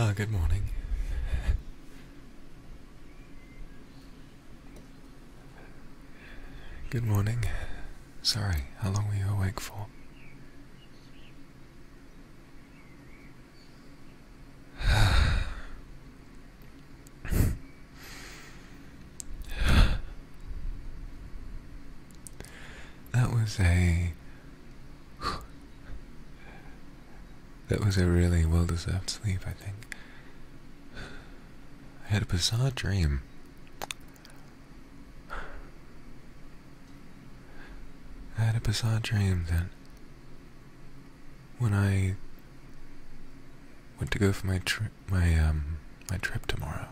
Ah, good morning. Good morning. Sorry, how long were you awake for? that was a. That was a really well deserved sleep, I think. I had a bizarre dream. I had a bizarre dream that when I went to go for my trip, my um, my trip tomorrow,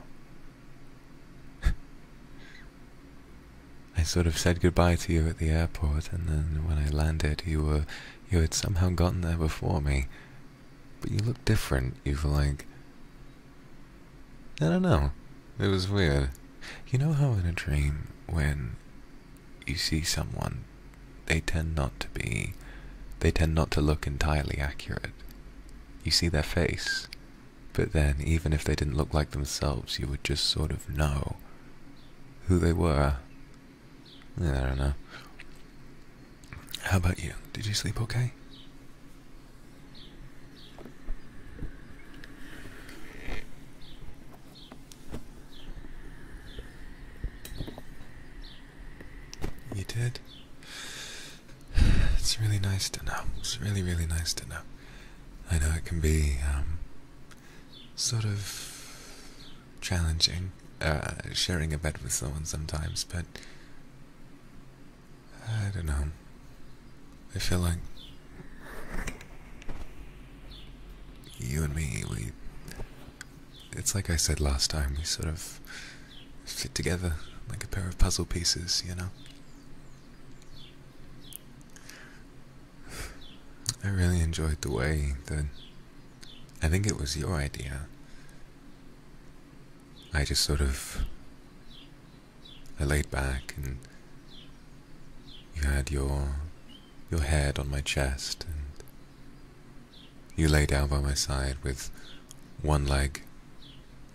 I sort of said goodbye to you at the airport, and then when I landed, you were you had somehow gotten there before me, but you look different. You've like. I don't know. It was weird. You know how in a dream, when you see someone, they tend not to be. They tend not to look entirely accurate. You see their face, but then, even if they didn't look like themselves, you would just sort of know who they were. I don't know. How about you? Did you sleep okay? You did? It's really nice to know. It's really, really nice to know. I know it can be um, sort of challenging, uh, sharing a bed with someone sometimes, but I don't know. I feel like you and me, we. It's like I said last time, we sort of fit together like a pair of puzzle pieces, you know? I really enjoyed the way that. I think it was your idea I just sort of laid back and you had your your head on my chest and you lay down by my side with one leg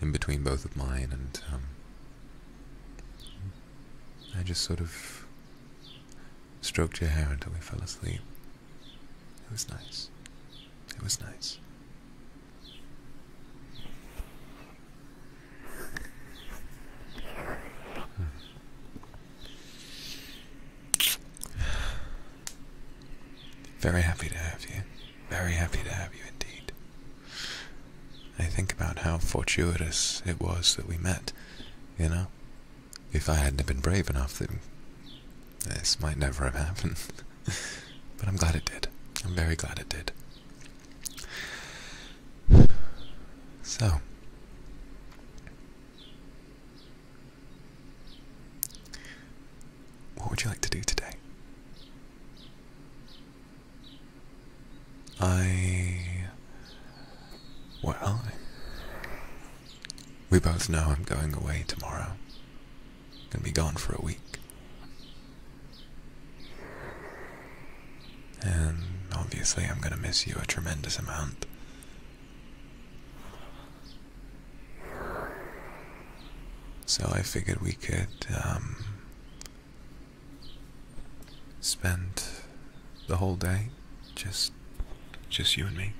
in between both of mine and um, I just sort of stroked your hair until we fell asleep. It was nice. It was nice. Hmm. Very happy to have you. Very happy to have you indeed. I think about how fortuitous it was that we met, you know? If I hadn't been brave enough, this might never have happened. but I'm glad it did. I'm very glad it did. So, what would you like to do today? I. Well, we both know I'm going away tomorrow. Gonna be gone for a week. And obviously, I'm gonna miss you a tremendous amount. So I figured we could um, spend the whole day just just you and me.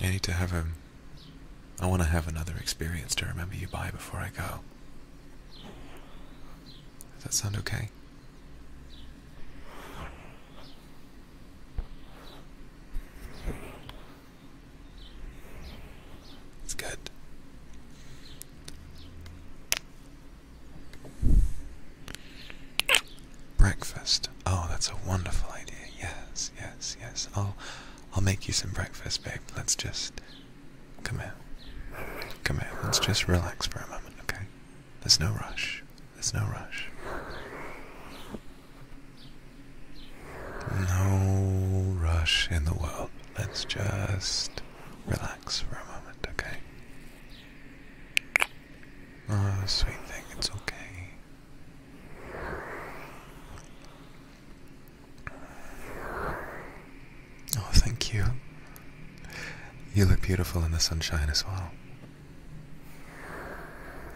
I need to have a. I want to have another experience to remember you by before I go. Does that sound okay? It's good. Breakfast. Oh, that's a wonderful idea. Yes, yes, yes. I'll I'll make you some breakfast, babe. Let's just come here. Come here. Let's just relax for a moment, okay? There's no rush. There's no rush. No rush in the world. Let's just relax for a moment, okay? Ah, oh, sweet thing, it's okay. Oh, thank you. You look beautiful in the sunshine as well.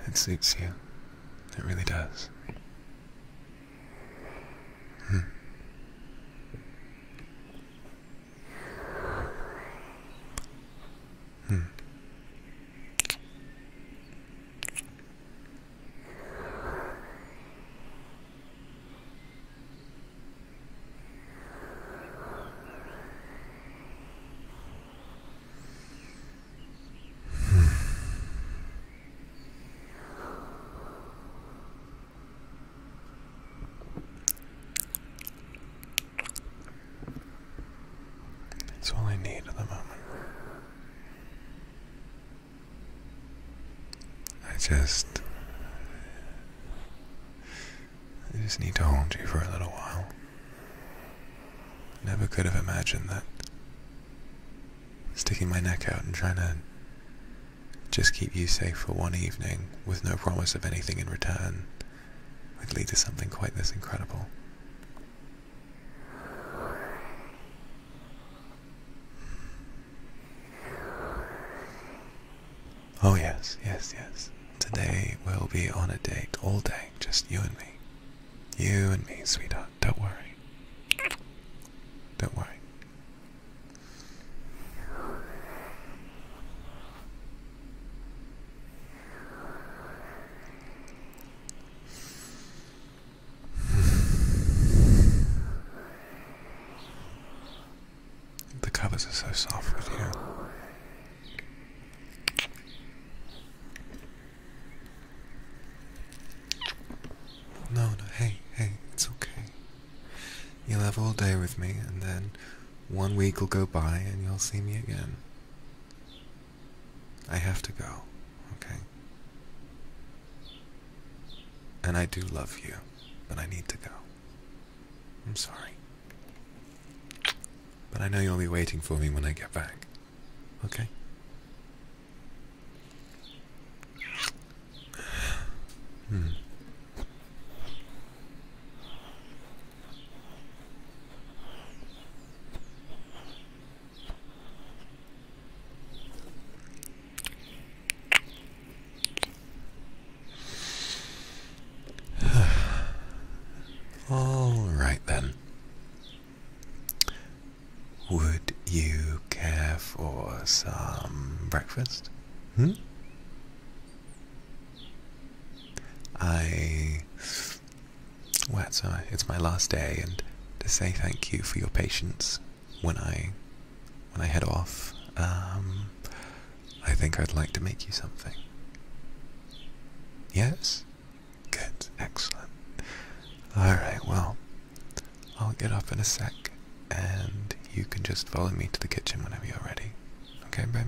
It suits you. It really does. Hmm. Hmm. Hmm. That's all I need at the moment. I just. I just need to hold you for a little while. Never could have imagined that sticking my neck out and trying to just keep you safe for one evening with no promise of anything in return would lead to something quite this incredible. Oh, yes, yes, yes. Today we'll be on a date all day, just you and me. You and me, sweetheart. Don't worry. Don't worry. The covers are so soft with you. No, no, hey, hey, it's okay. You'll have all day with me, and then one week will go by, and you'll see me again. I have to go, okay? And I do love you, but I need to go. I'm sorry. But I know you'll be waiting for me when I get back, okay? Hmm. All right then. Would you care for some breakfast? Hmm? I well, uh, it's, my last day, and to say thank you for your patience when I when I head off, um, I think I'd like to make you something. Yes? Good, excellent. Alright, well, I'll get up in a sec, and you can just follow me to the kitchen whenever you're ready. Okay, babe?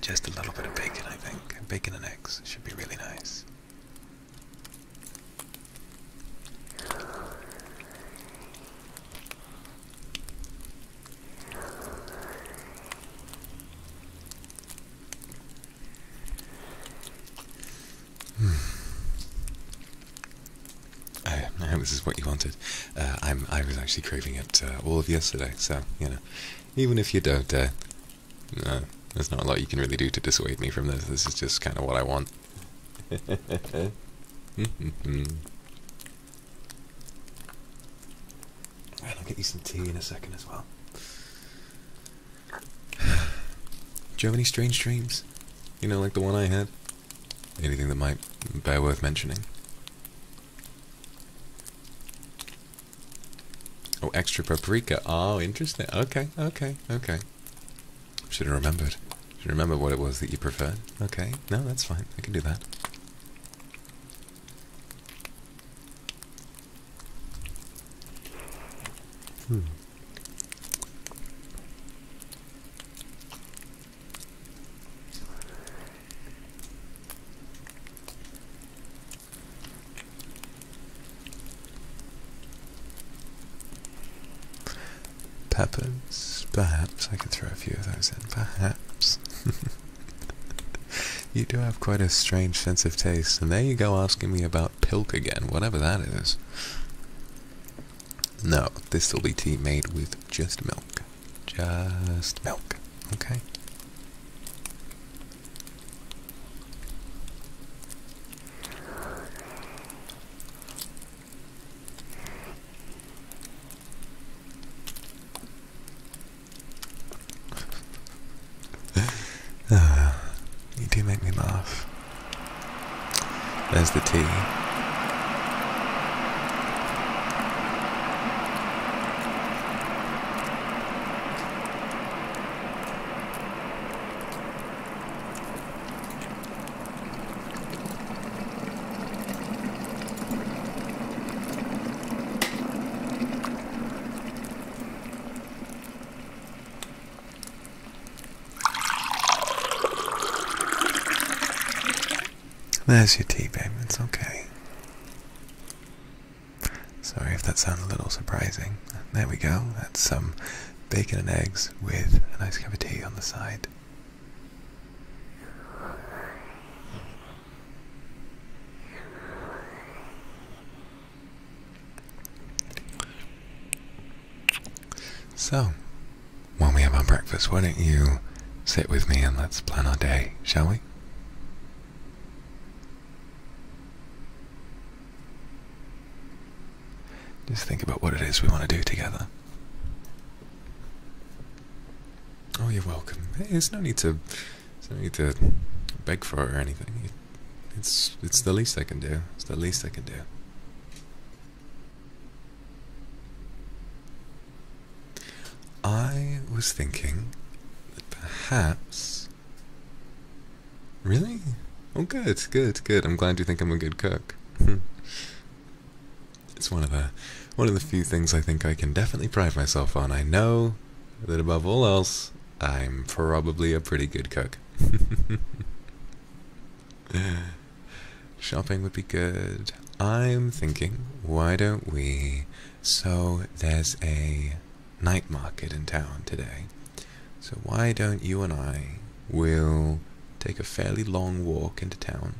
Just a little bit of bacon, I think. Bacon and eggs should be really nice. I, hmm. hope oh, this is what you wanted. Uh, I'm. I was actually craving it uh, all of yesterday. So you know, even if you don't, uh, there's not a lot you can really do to dissuade me from this. This is just kind of what I want. and I'll get you some tea in a second as well. Do you have any strange dreams? You know, like the one I had? Anything that might be worth mentioning? Oh, extra paprika. Oh, interesting. Okay, okay, okay. Should have remembered. Should remember what it was that you preferred. Okay, no, that's fine. I can do that. Hmm peppers. Perhaps I can throw a few of those in. Perhaps. you do have quite a strange sense of taste, and there you go asking me about pilk again, whatever that is. No, this will be tea made with just milk. Just milk, okay? Ah, you do make me laugh. There's the tea. There's your tea, babe. It's okay. Sorry if that sounds a little surprising. There we go. That's some bacon and eggs with a nice cup of tea on the side. So, while we have our breakfast, why don't you sit with me and let's plan our day, shall we? Just think about what it is we want to do together. Oh, you're welcome. There's no need to, no need to beg for or anything. It's it's the least I can do. It's the least I can do. I was thinking that perhaps. Really? Oh, good, good, good. I'm glad you think I'm a good cook. It's one of the one of the few things I think I can definitely pride myself on. I know that above all else, I'm probably a pretty good cook. Shopping would be good. I'm thinking, why don't we? So there's a night market in town today. So why don't you and I will take a fairly long walk into town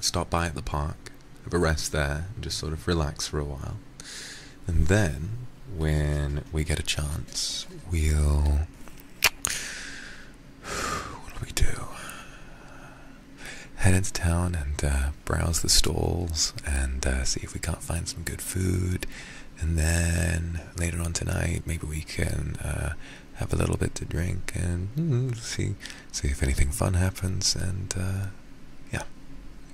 stop by at the park, have a rest there, and just sort of relax for a while. And then, when we get a chance, we'll. What do we do? Head into town and uh, browse the stalls and uh, see if we can't find some good food. And then later on tonight, maybe we can uh, have a little bit to drink and hmm, see see if anything fun happens. And uh, yeah,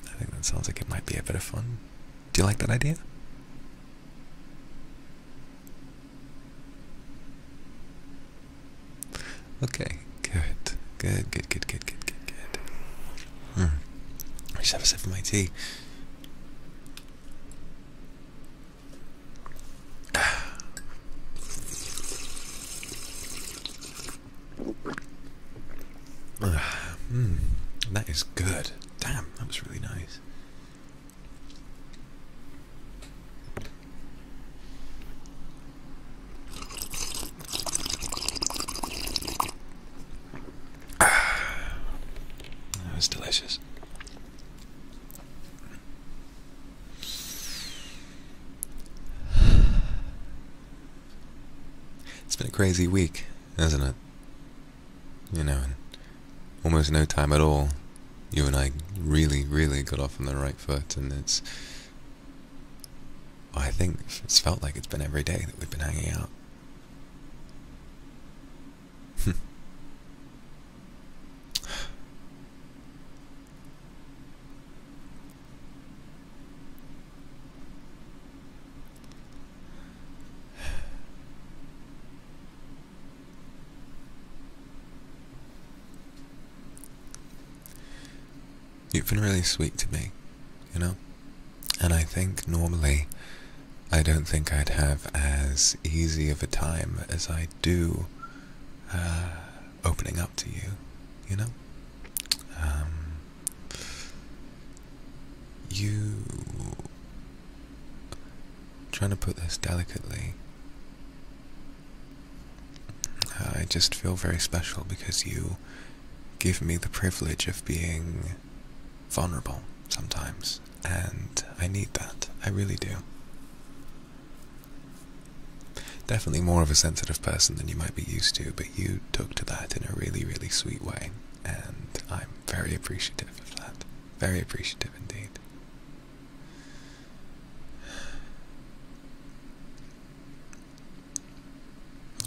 I think that sounds like it might be a bit of fun. Do you like that idea? Okay, good, good, good, good, good, good, good, good. Hmm. I should have a sip of my tea. Hmm, that is good. Damn, that was really nice. that was delicious. It's been a crazy week, hasn't it? You know, almost no time at all, you and I really, really got off on the right foot, and it's... I think it's felt like it's been every day that we've been hanging out. You've been really sweet to me, you know? And I think normally I don't think I'd have as easy of a time as I do uh, opening up to you, you know? Um, you. trying to put this delicately. I just feel very special because you give me the privilege of being vulnerable sometimes, and I need that. I really do. Definitely more of a sensitive person than you might be used to, but you took to that in a really, really sweet way, and I'm very appreciative of that. Very appreciative indeed.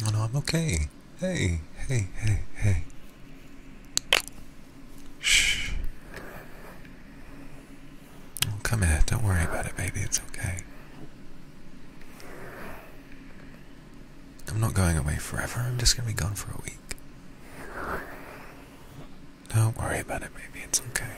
Oh I'm okay. Hey, hey, hey, hey. Shh come here, don't worry about it, baby, it's okay. I'm not going away forever, I'm just gonna be gone for a week. Don't worry about it, Maybe it's okay.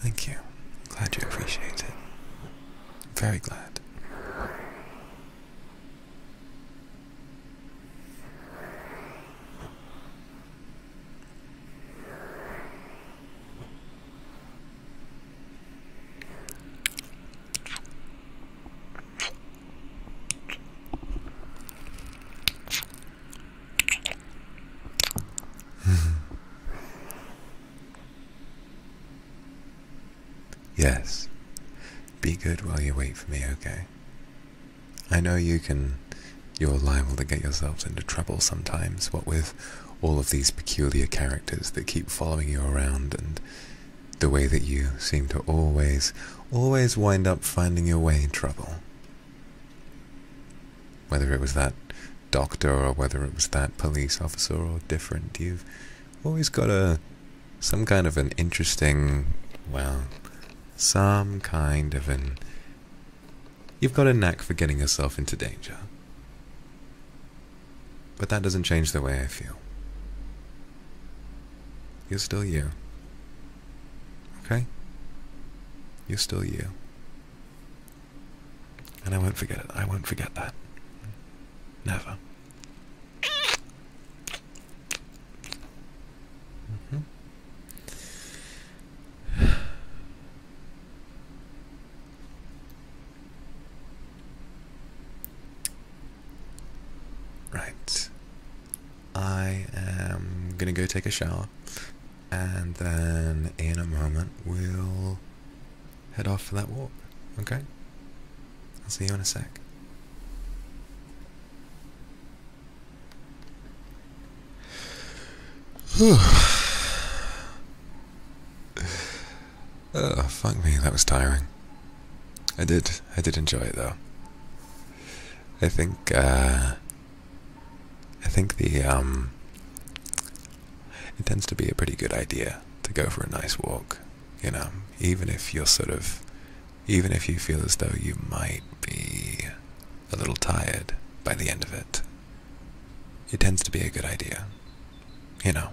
Thank you. Glad you appreciate it. Very glad. yes. Be good while you wait for me, okay? I know you can. You're liable to get yourselves into trouble sometimes, what with all of these peculiar characters that keep following you around and the way that you seem to always, always wind up finding your way in trouble. Whether it was that doctor or whether it was that police officer or different, you've always got a some kind of an interesting, well, some kind of an. You've got a knack for getting yourself into danger. But that doesn't change the way I feel. You're still you. Okay? You're still you. And I won't forget it. I won't forget that. Never. Mm-hmm. Right. I am gonna go take a shower, and then in a moment we'll head off for that walk, okay? I'll see you in a sec. oh, fuck me, that was tiring. I did, I did enjoy it though. I think, uh, I think the um, it tends to be a pretty good idea to go for a nice walk, you know, even if you're sort of, even if you feel as though you might be a little tired by the end of it. It tends to be a good idea, you know.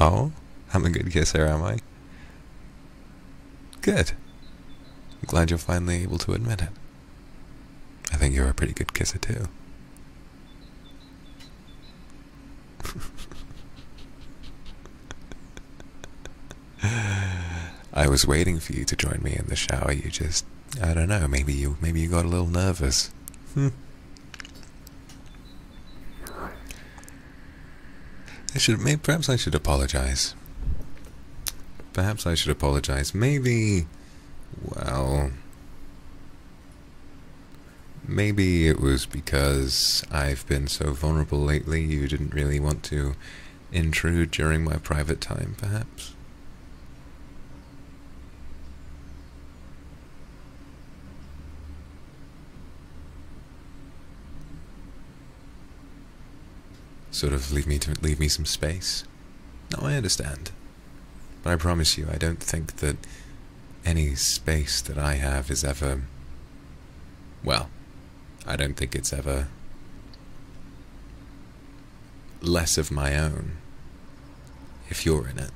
Oh, I'm a good kisser, am I? Good. glad you're finally able to admit it. I think you're a pretty good kisser, too. I was waiting for you to join me in the shower. You just, I don't know, maybe you maybe you got a little nervous. Hmm. I should maybe perhaps I should apologize Perhaps I should apologize. Maybe, well, maybe it was because I've been so vulnerable lately you didn't really want to intrude during my private time, perhaps. Sort of leave me to leave me some space. No, I understand. But I promise you, I don't think that any space that I have is ever. Well, I don't think it's ever less of my own if you're in it.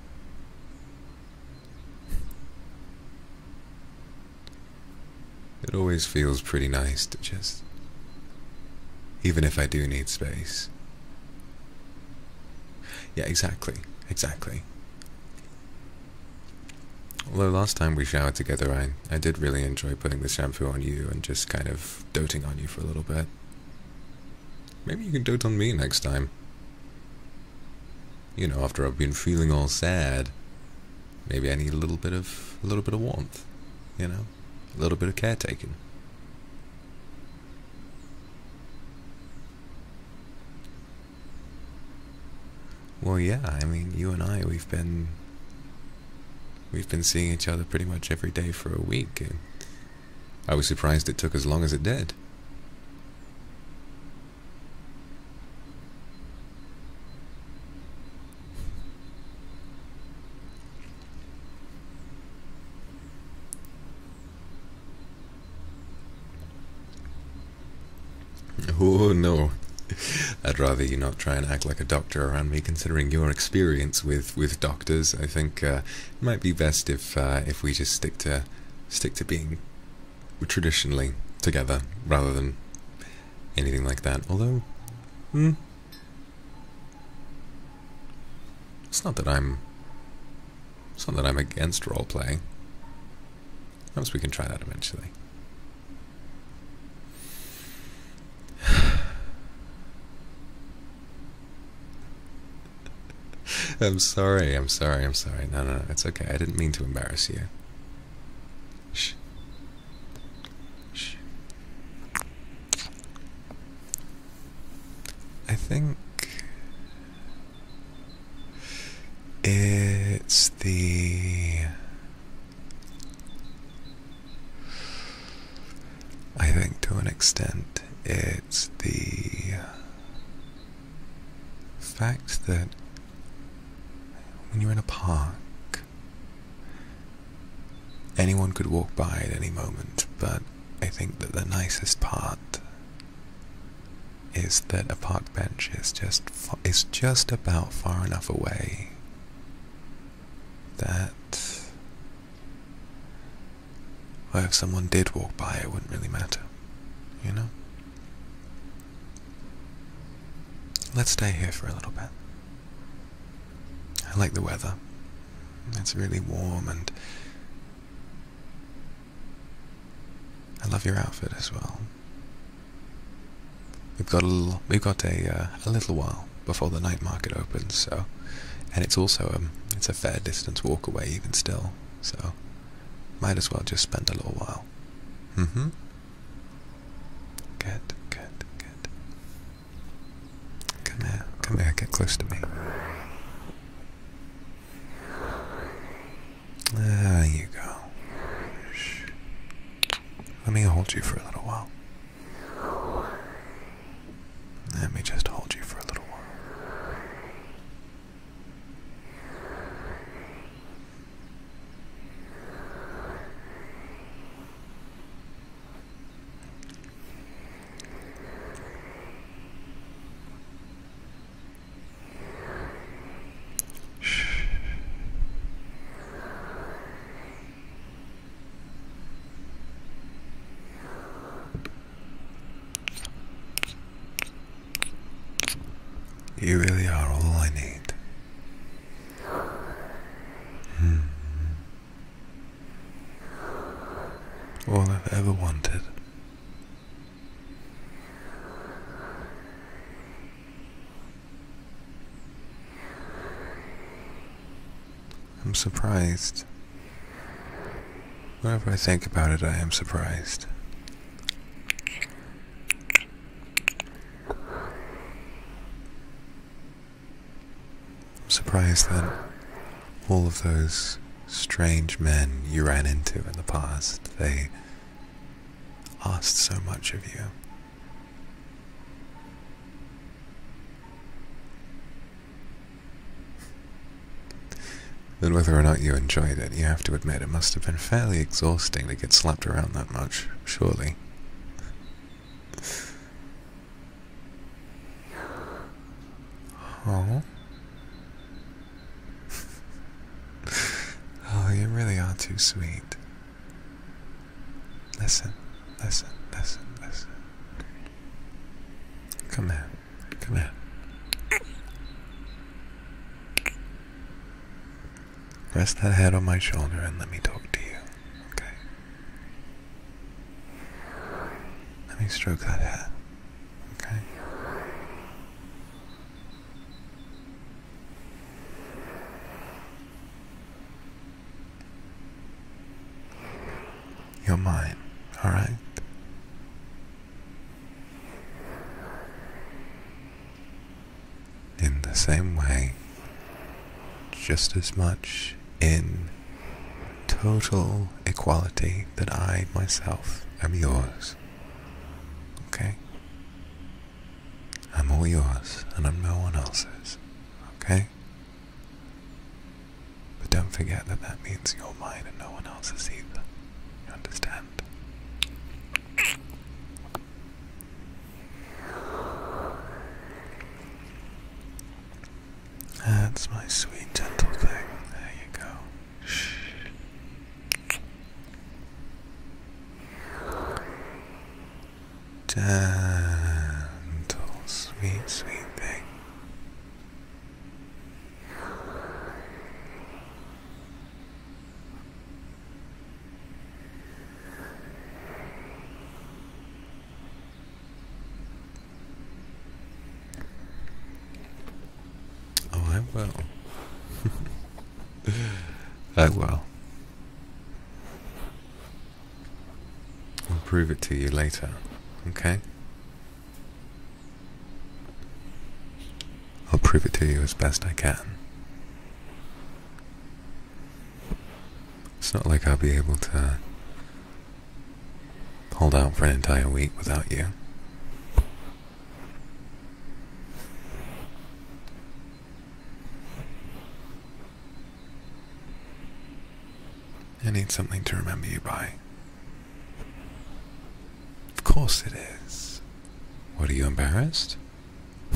It always feels pretty nice to just, even if I do need space. Yeah, exactly, exactly. Although last time we showered together, I, I did really enjoy putting the shampoo on you and just kind of doting on you for a little bit. Maybe you can dote on me next time. You know, after I've been feeling all sad. Maybe I need a little bit of a little bit of warmth, you know, a little bit of caretaking. Well, yeah, I mean, you and I, we've been we've been seeing each other pretty much every day for a week. I was surprised it took as long as it did. Oh no. I'd rather you not try and act like a doctor around me, considering your experience with, with doctors. I think uh, it might be best if uh, if we just stick to stick to being traditionally together rather than anything like that. Although, hmm, it's not that I'm... It's not that I'm against role-playing. Perhaps we can try that eventually. I'm sorry, I'm sorry, I'm sorry. No, no, no, it's okay. I didn't mean to embarrass you. Shh. Shh. I think it's the I think to an extent it's the fact that when you're in a park Anyone could walk by at any moment, but I think that the nicest part is that a park bench is just is just about far enough away that if someone did walk by, it wouldn't really matter, you know. Let's stay here for a little bit. I like the weather. It's really warm and I love your outfit as well. We've got a little, we've got a uh, a little while before the night market opens, so and it's also um it's a fair distance walk away even still, so might as well just spend a little while. hmm Good, good, good. Come here, come here, get close to me. There you go. Let me hold you for a little while. Let me just hold you for a little while. Shh. You really are all I need. -hmm. All I've ever wanted. I'm surprised. Whenever I think about it, I am surprised. I'm surprised that all of those strange men you ran into in the past, they asked so much of you. That whether or not you enjoyed it, you have to admit it must have been fairly exhausting to get slapped around that much, surely. Oh. oh, you really are too sweet. Listen, listen, listen, listen. Come here, come here. Rest that head on my shoulder and let me talk to you, okay? Let me stroke that hair. Okay. You're mine, alright? In the same way just as much in total equality that I myself am yours. Okay? I'm all yours and I'm no one else's. Okay? But don't forget that that means you're mine and no one else's either. You understand? That's my sweet, gentle thing. There you go. Shh. Gentle, sweet, sweet thing. Oh, I will. I will. I'll prove it to you later, okay? I'll prove it to you as best I can. It's not like I'll be able to hold out for an entire week without you. I need something to remember you by. Of course it is. What, are you embarrassed?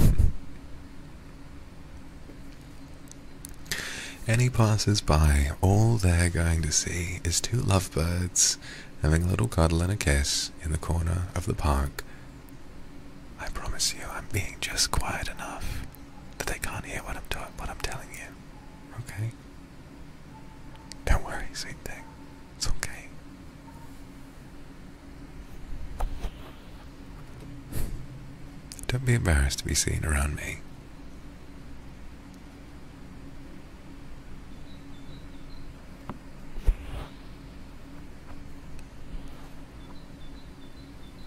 Any he passes by. All they're going to see is two lovebirds having a little cuddle and a kiss in the corner of the park. I promise you, I'm being just quiet enough that they can't hear what I'm what I'm telling you. Okay? Don't worry, sweet thing. It's okay. Don't be embarrassed to be seen around me.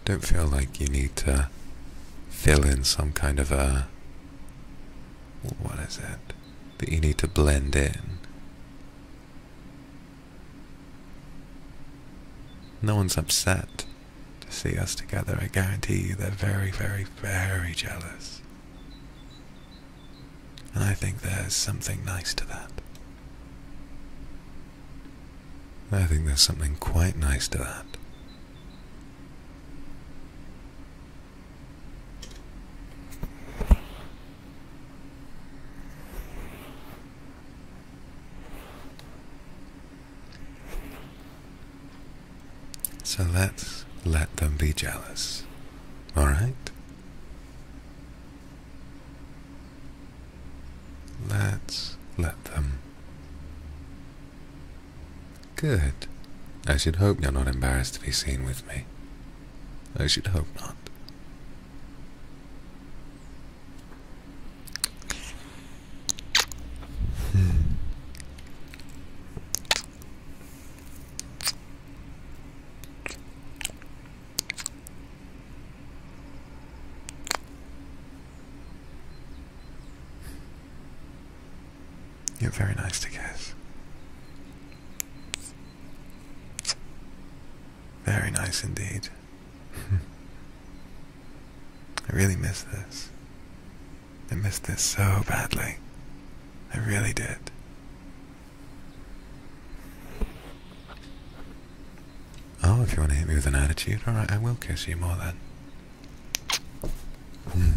Don't feel like you need to fill in some kind of a. What is it? That you need to blend in. No one's upset to see us together. I guarantee you they're very, very, very jealous. And I think there's something nice to that. I think there's something quite nice to that. So let's let them be jealous, alright? Let's let them. Good. I should hope you're not embarrassed to be seen with me. I should hope not. You're very nice to kiss. Very nice indeed. I really miss this. I missed this so badly. I really did. Oh, if you want to hit me with an attitude, alright, I will kiss you more then. Hmm.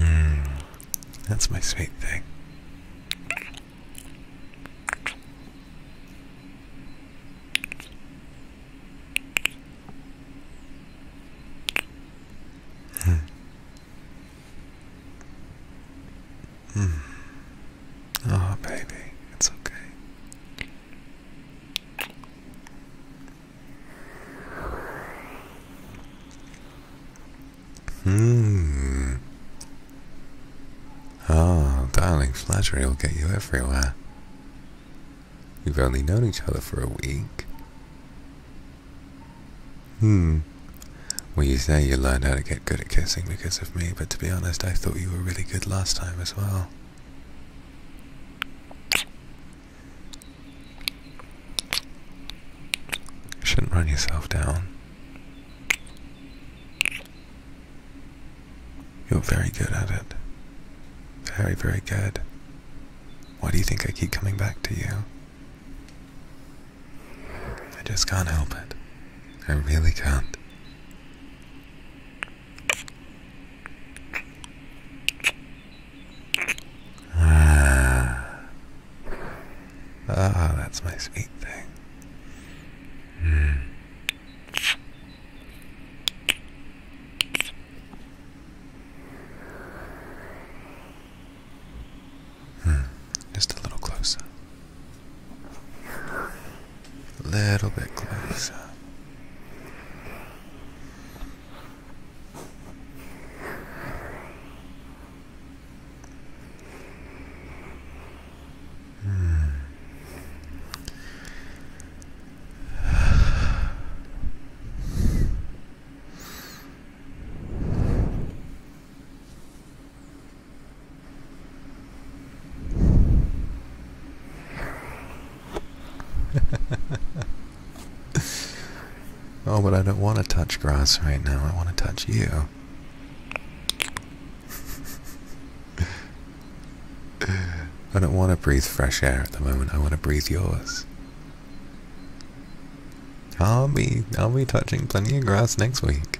Mm, that's my sweet thing. Hmm. Mm. Oh, baby, it's okay. Hmm. Oh, darling, flattery will get you everywhere. We've only known each other for a week. Hmm. Well, you say you learned how to get good at kissing because of me, but to be honest, I thought you were really good last time as well. Shouldn't run yourself down. You're very good at it. Very, very good. Why do you think I keep coming back to you? I just can't help it. I really can't. Ah, ah that's my sweet thing. Mm. Hmm, just a little closer. A little bit closer. Hmm. oh, but I don't want to touch grass right now. I want to touch you. I don't want to breathe fresh air at the moment. I want to breathe yours. I'll be I'll be touching plenty of grass next week.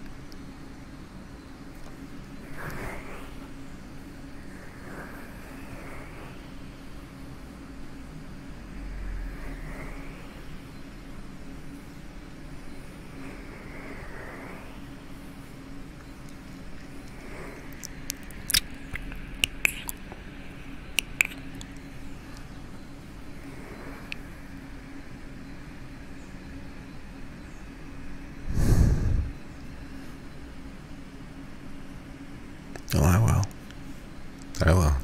Oh, I will. I will.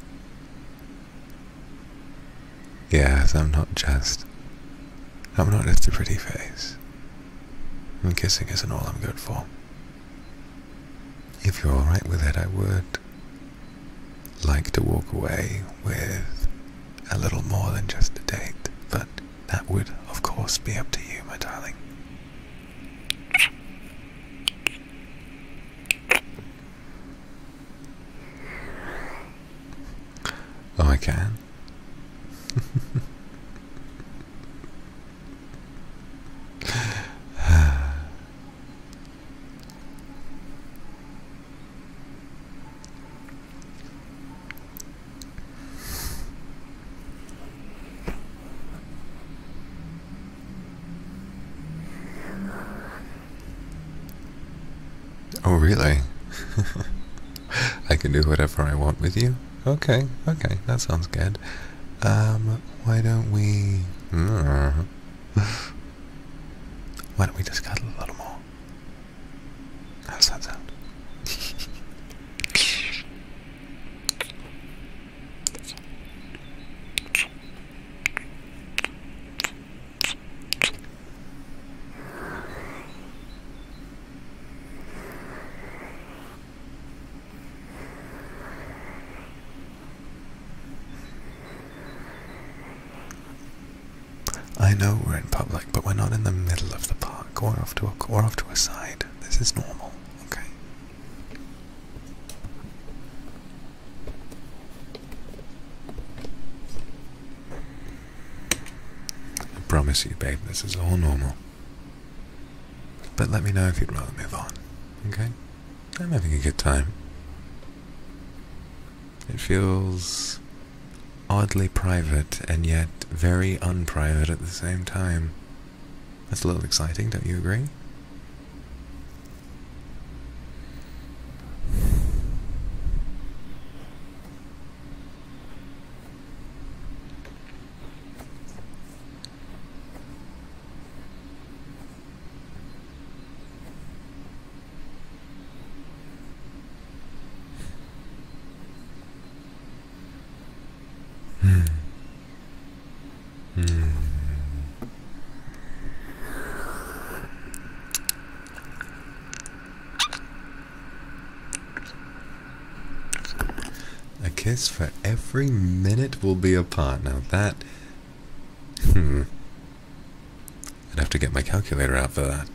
Yes, I'm not just. I'm not just a pretty face. And kissing isn't all I'm good for if you're alright with it, I would like to walk away with a little more than just a date, but that would, of course, be up to you, my darling. Oh, I can. Oh, really? I can do whatever I want with you? Okay, okay, that sounds good. Um, why don't we... Hmm. Why don't we just cuddle a little more? How's that sound? I know we're in public, but we're not in the middle of the park or off to a, or off to a side. This is normal, okay? I promise you, babe, this is all normal. But let me know if you'd rather move on, okay? I'm having a good time. It feels oddly private and yet very unprivate at the same time. That's a little exciting, don't you agree? A kiss for every minute we'll be apart. Now that Hmm. I'd have to get my calculator out for that.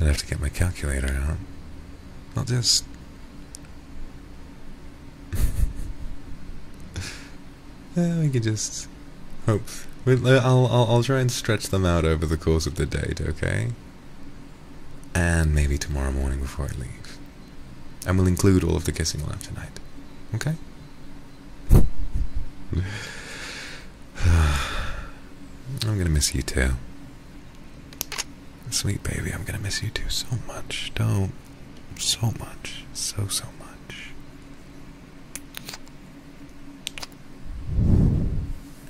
I'd have to get my calculator out. Not just... yeah, we could just hope. I'll, I'll, I'll try and stretch them out over the course of the date, okay? And maybe tomorrow morning before I leave. And we'll include all of the kissing we'll have tonight. Okay? I'm gonna miss you too. Sweet baby, I'm gonna miss you too so much. Don't. So much. So, so much.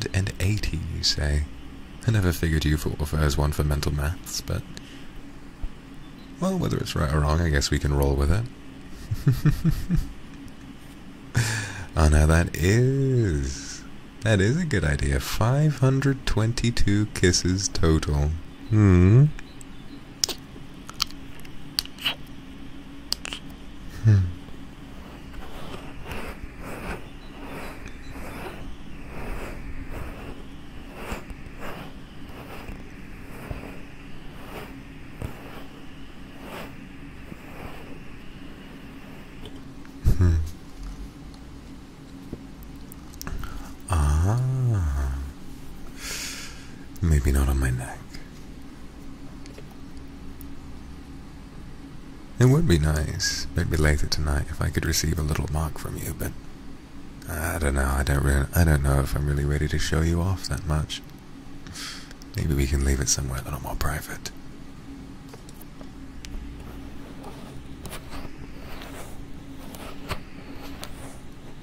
10,080, you say? I never figured you for as one for mental maths, but... Well, whether it's right or wrong, I guess we can roll with it. oh, now that is... That is a good idea. 522 kisses total. Hmm. Hmm. Hmm. Ah, maybe not on my neck. It would be nice, maybe later tonight, if I could receive a little mark from you, but I don't know. I don't really, I don't know if I'm really ready to show you off that much. Maybe we can leave it somewhere a little more private.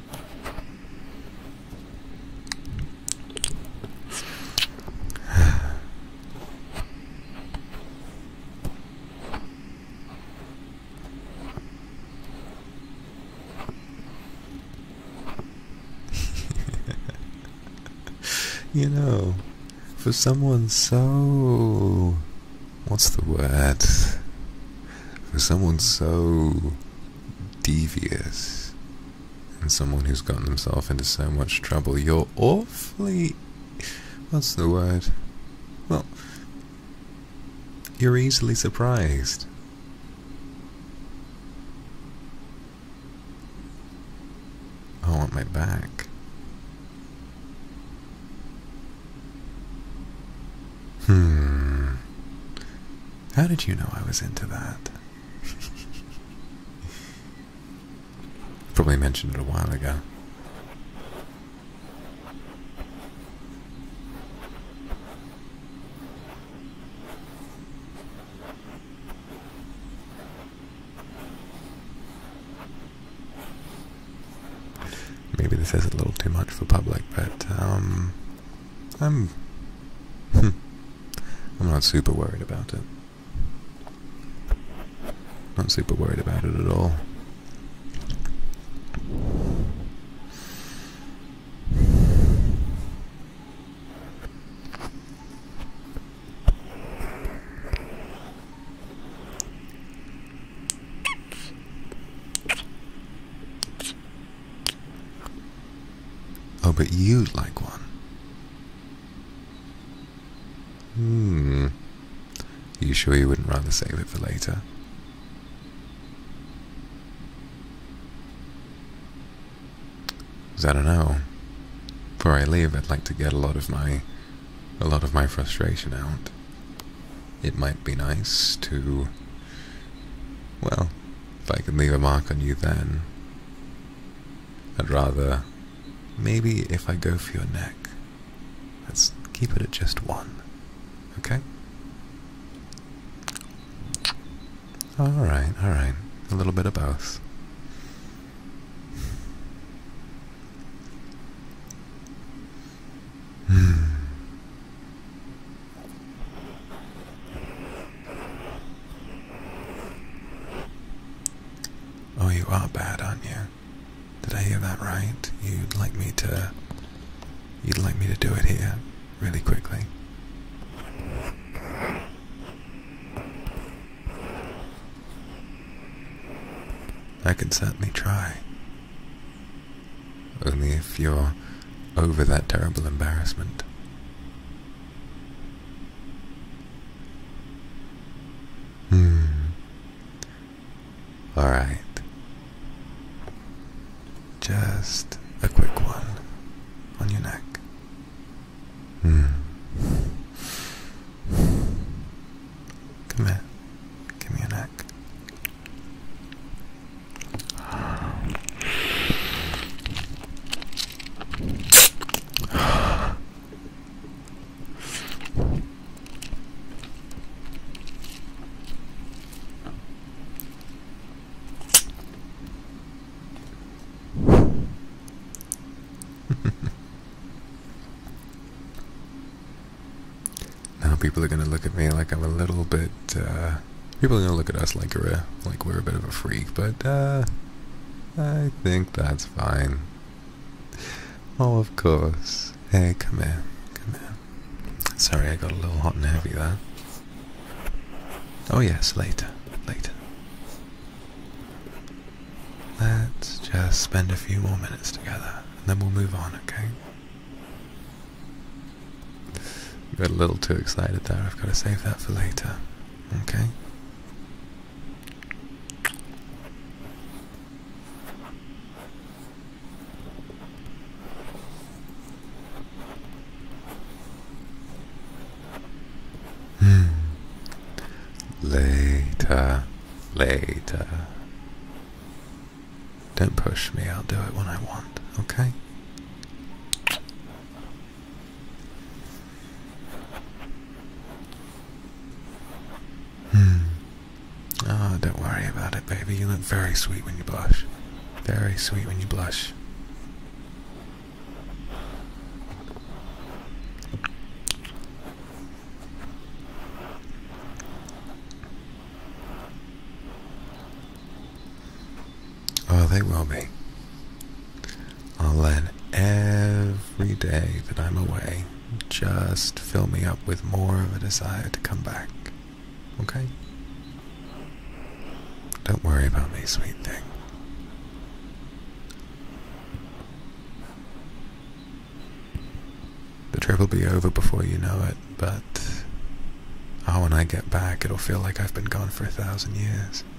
you know, for someone so. What's the word? For someone so devious and someone who's gotten himself into so much trouble. You're awfully. What's the word? Well, you're easily surprised. I want my back. Hmm. How did you know I was into that? Probably mentioned it a while ago. Maybe this is a little too much for public, but um, I'm... Hmm, I'm not super worried about it. Not super worried about it at all. Oh, but you'd like one. Hmm. You sure you wouldn't rather save it for later? I don't know. Before I leave, I'd like to get a lot of my, a lot of my frustration out. It might be nice to well, if I could leave a mark on you then, I'd rather. Maybe if I go for your neck, let's keep it at just one, okay? Alright, alright. A little bit of both. Hmm. Oh, you are bad, aren't you? Did I hear that right? You'd like me to. You'd like me to do it here, really quickly. I can certainly try. Only if you're over that terrible embarrassment. Hmm. Alright. Just a quick one on your neck. Hmm. Come here. Give me your neck now people are going to look at me like I'm a little bit uh, uh, people are gonna look at us like we're a, like we're a bit of a freak, but uh, I think that's fine. Oh, of course. Hey, come here, come here. Sorry, I got a little hot and heavy there. Oh yes, later, later. Let's just spend a few more minutes together, and then we'll move on, okay? Got a little too excited there. I've got to save that for later. Okay. Hmm. Later. Later. Don't push me, I'll do it when I want, okay? Hmm. Oh, don't worry about it, baby. You look very sweet when you blush. Very sweet when you blush. Oh, they will be. I'll let every day that I'm away just fill me up with more of a desire to come back. Okay? Don't worry about me, sweet thing. The trip will be over before you know it, but oh, when I get back, it'll feel like I've been gone for a thousand years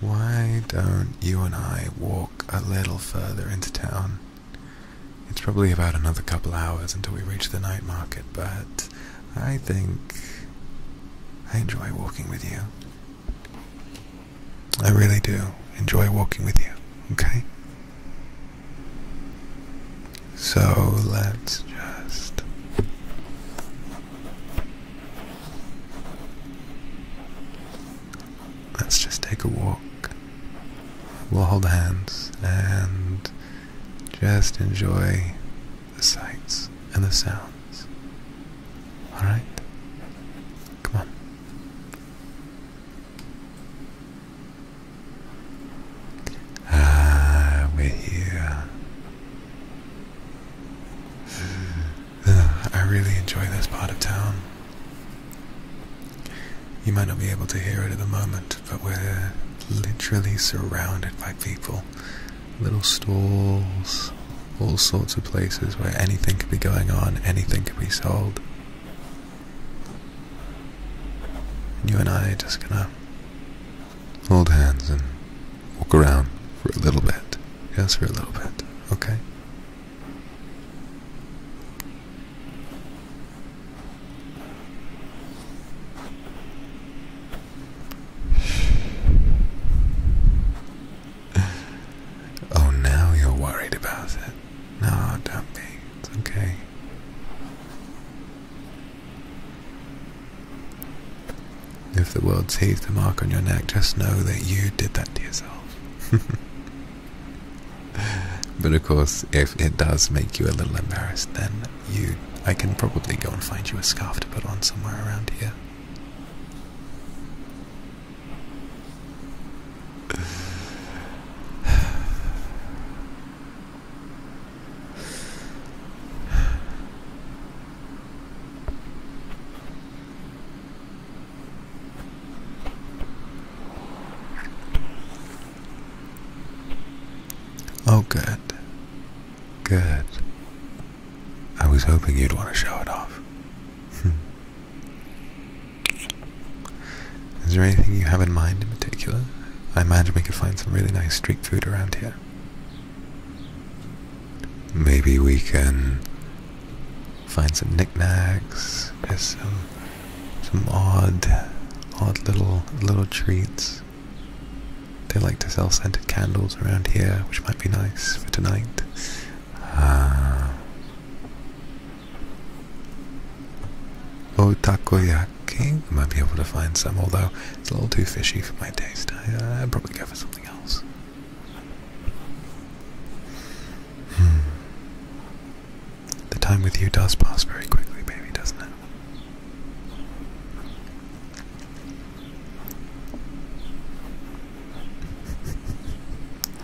Why don't you and I walk a little further into town? It's probably about another couple hours until we reach the night market, but I think I enjoy walking with you. I really do enjoy walking with you, okay? So let's just let's just take a walk. We'll hold hands and just enjoy the sights and the sounds. Alright? Come on. Ah, we're here. I really enjoy this part of town. You might not be able to hear it at the moment, but we're literally surrounded by people. Little stalls, all sorts of places where anything could be going on, anything could be sold. And you and I are just gonna hold hands and walk around for a little bit. Just for a little bit, okay? oh, now you're worried about it. No, don't be. It's okay. If the world sees the mark on your neck, just know that you did that to yourself. but of course, if it does make you a little embarrassed, then you. I can probably go and find you a scarf to put on somewhere around here. Oh, good. Good. I was hoping you'd want to show it off. Hmm. Is there anything you have in mind in particular? I imagine we could find some really nice street food around here. Maybe we can Find some knickknacks. There's some some odd, odd little little treats. They like to sell scented candles around here, which might be nice for tonight. Oh, ah. takoyaki! I might be able to find some, although it's a little too fishy for my taste. Uh, I'd probably go for something else. Hmm. The time with you does pass very quickly, baby, doesn't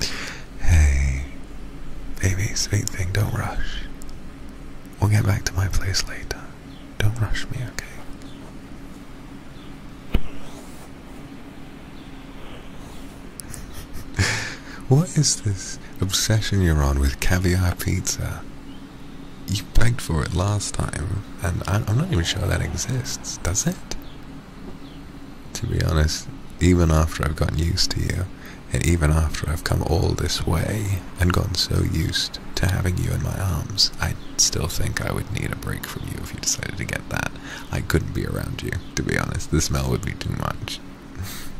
it? hey, baby, sweet thing, don't rush. We'll get back to my place later. Don't rush me, okay? what is this obsession you're on with caviar pizza? You begged for it last time, and I, am not even sure that exists, does it? To be honest, even after I've gotten used to you, and even after I've come all this way and gotten so used to having you in my arms, I still think I would need a break from you if you decided to get that. I couldn't be around you to be honest. The smell would be too much.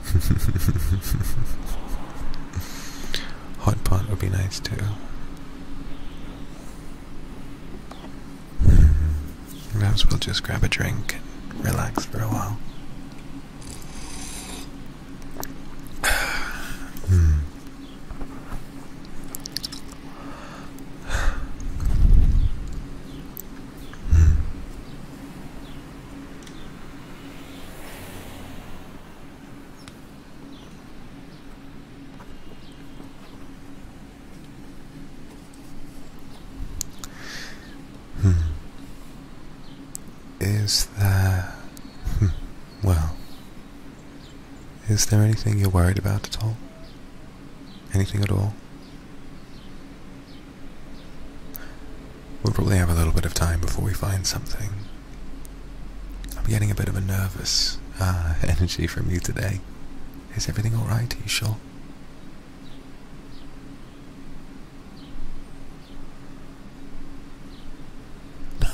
Hot pot would be nice too. Perhaps hmm. we'll just grab a drink and relax for a while. Hmm. Hmm. Hmm. Is there. Hmm, well. Is there anything you're worried about at all? Anything at all? We'll probably have a little bit of time before we find something. I'm getting a bit of a nervous uh, energy from you today. Is everything alright? Are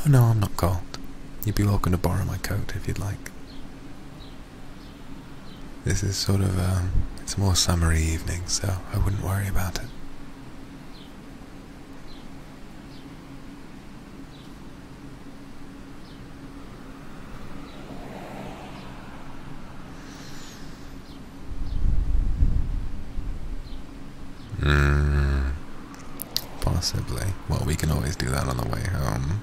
No, no, I'm not cold. You'd be welcome to borrow my coat if you'd like. This is sort of a, um, it's more summery evening, so I wouldn't worry about it. Mm, possibly. Well, we can always do that on the way home.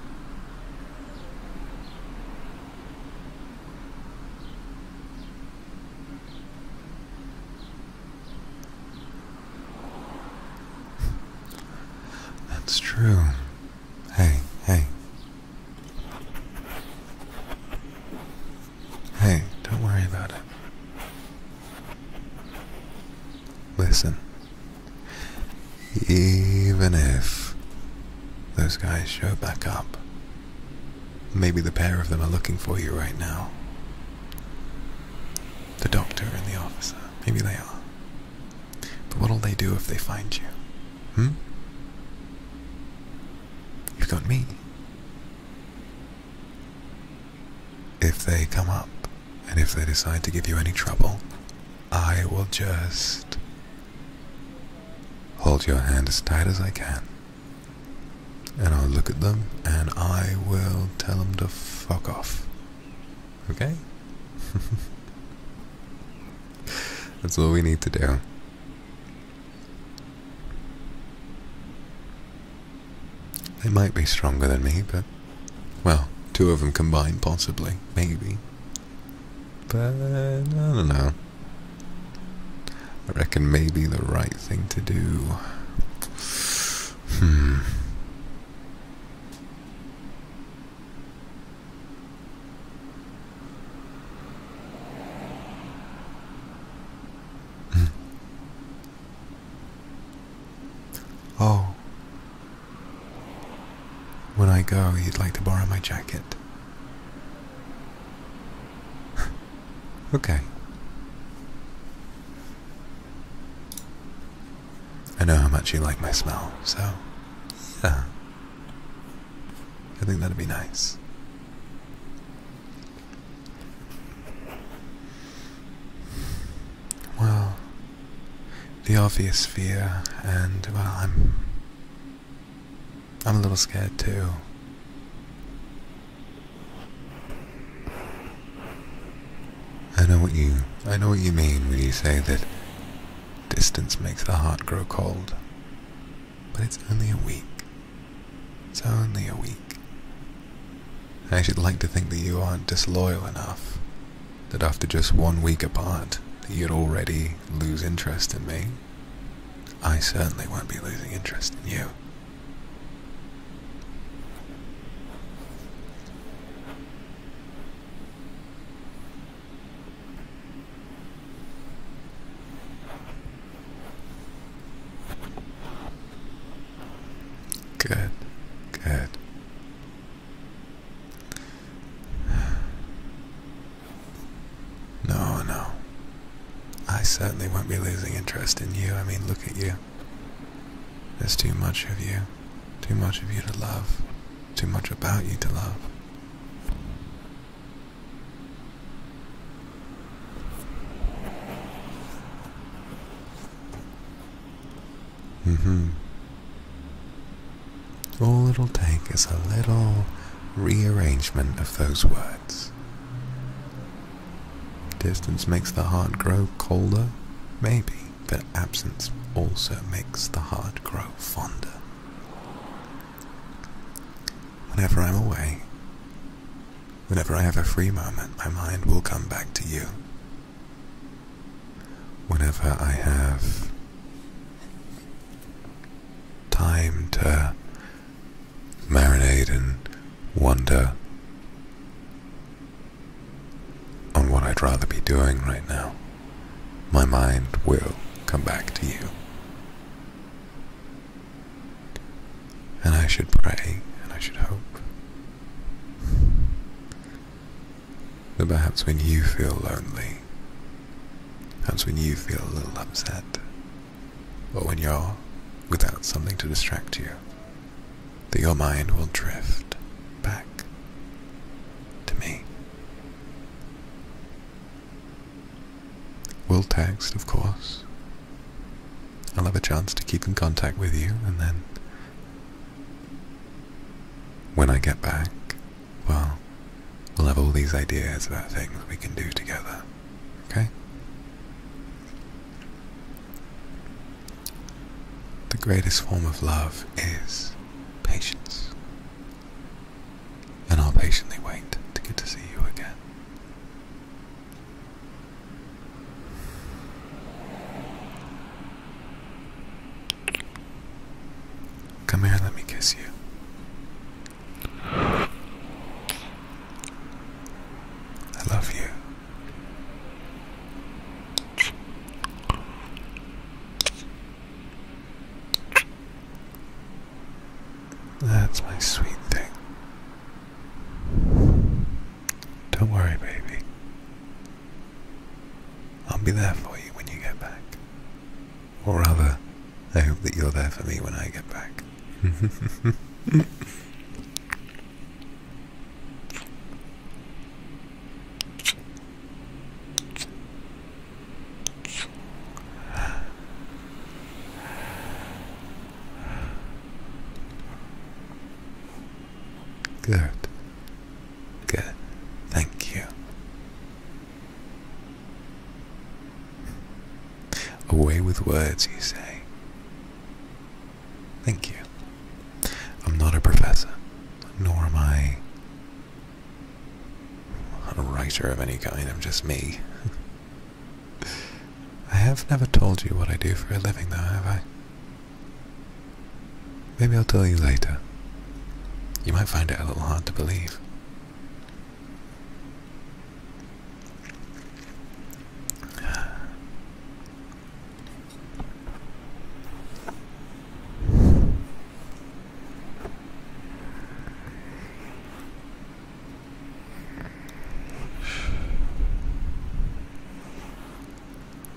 That's true. Hey, hey. Hey, don't worry about it. Listen. Even if those guys show back up, Maybe the pair of them are looking for you right now. The doctor and the officer. Maybe they are. But what'll they do if they find you? Hmm? You've got me. If they come up, and if they decide to give you any trouble, I will just Hold your hand as tight as I can. And I'll look at them and I will tell them to fuck off. Okay? That's all we need to do. They might be stronger than me, but. Well, two of them combined, possibly. Maybe. But I don't know. I reckon maybe the right thing to do. Hmm. hmm. oh. When I go, you'd like to borrow my jacket. okay. I know how much you like my smell, so yeah. I think that'd be nice. Well, the obvious fear, and well, I'm I'm a little scared too. I know what you I know what you mean when you say that distance makes the heart grow cold. But it's only a week. It's only a week. I should like to think that you aren't disloyal enough that after just one week apart, you'd already lose interest in me. I certainly won't be losing interest in you. Good, good. No, no. I certainly won't be losing interest in you. I mean, look at you. There's too much of you. Too much of you to love. Too much about you to love. Mm-hmm. All it'll take is a little rearrangement of those words. Distance makes the heart grow colder, maybe, but absence also makes the heart grow fonder. Whenever I'm away, whenever I have a free moment, my mind will come back to you. Whenever I have time to marinate and wonder on what I'd rather be doing right now, my mind will come back to you. And I should pray, and I should hope that perhaps when you feel lonely, perhaps when you feel a little upset, but when you're without something to distract you, that your mind will drift back to me. We'll text, of course. I'll have a chance to keep in contact with you, and then when I get back, well, we'll have all these ideas about things we can do together. Okay? The greatest form of love is patience. And I'll patiently wait to get to see you again. Come here, let me kiss you. I love you. That's my sweet thing. Don't worry, baby. I'll be there for you when you get back. Or rather, I hope that you're there for me when I get back. Good. Good. Thank you. Away with words, you say. Thank you. I'm not a professor, nor am I a writer of any kind, I'm just me. I have never told you what I do for a living, though, have I? Maybe I'll tell you later. You might find it a little hard to believe.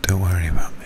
Don't worry about me.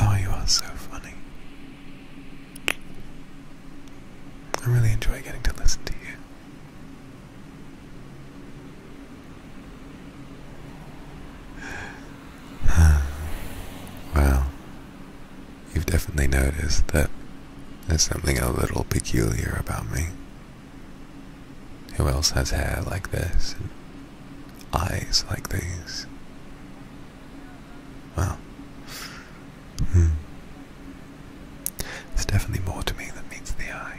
oh, you are so funny. I really enjoy getting to listen to you. well, you've definitely noticed that there's something a little peculiar about me. Who else has hair like this and eyes like these? Well, hmm. There's definitely more to me than meets the eye.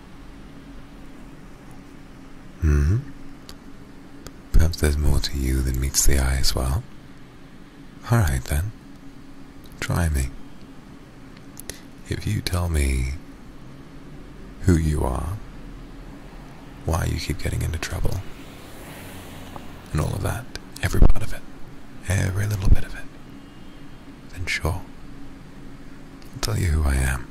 Hmm? Perhaps there's more to you than meets the eye as well. Alright then. Try me. If you tell me who you are, why you keep getting into trouble, and all of that, every part of it, every little bit of it, then sure, I'll tell you who I am.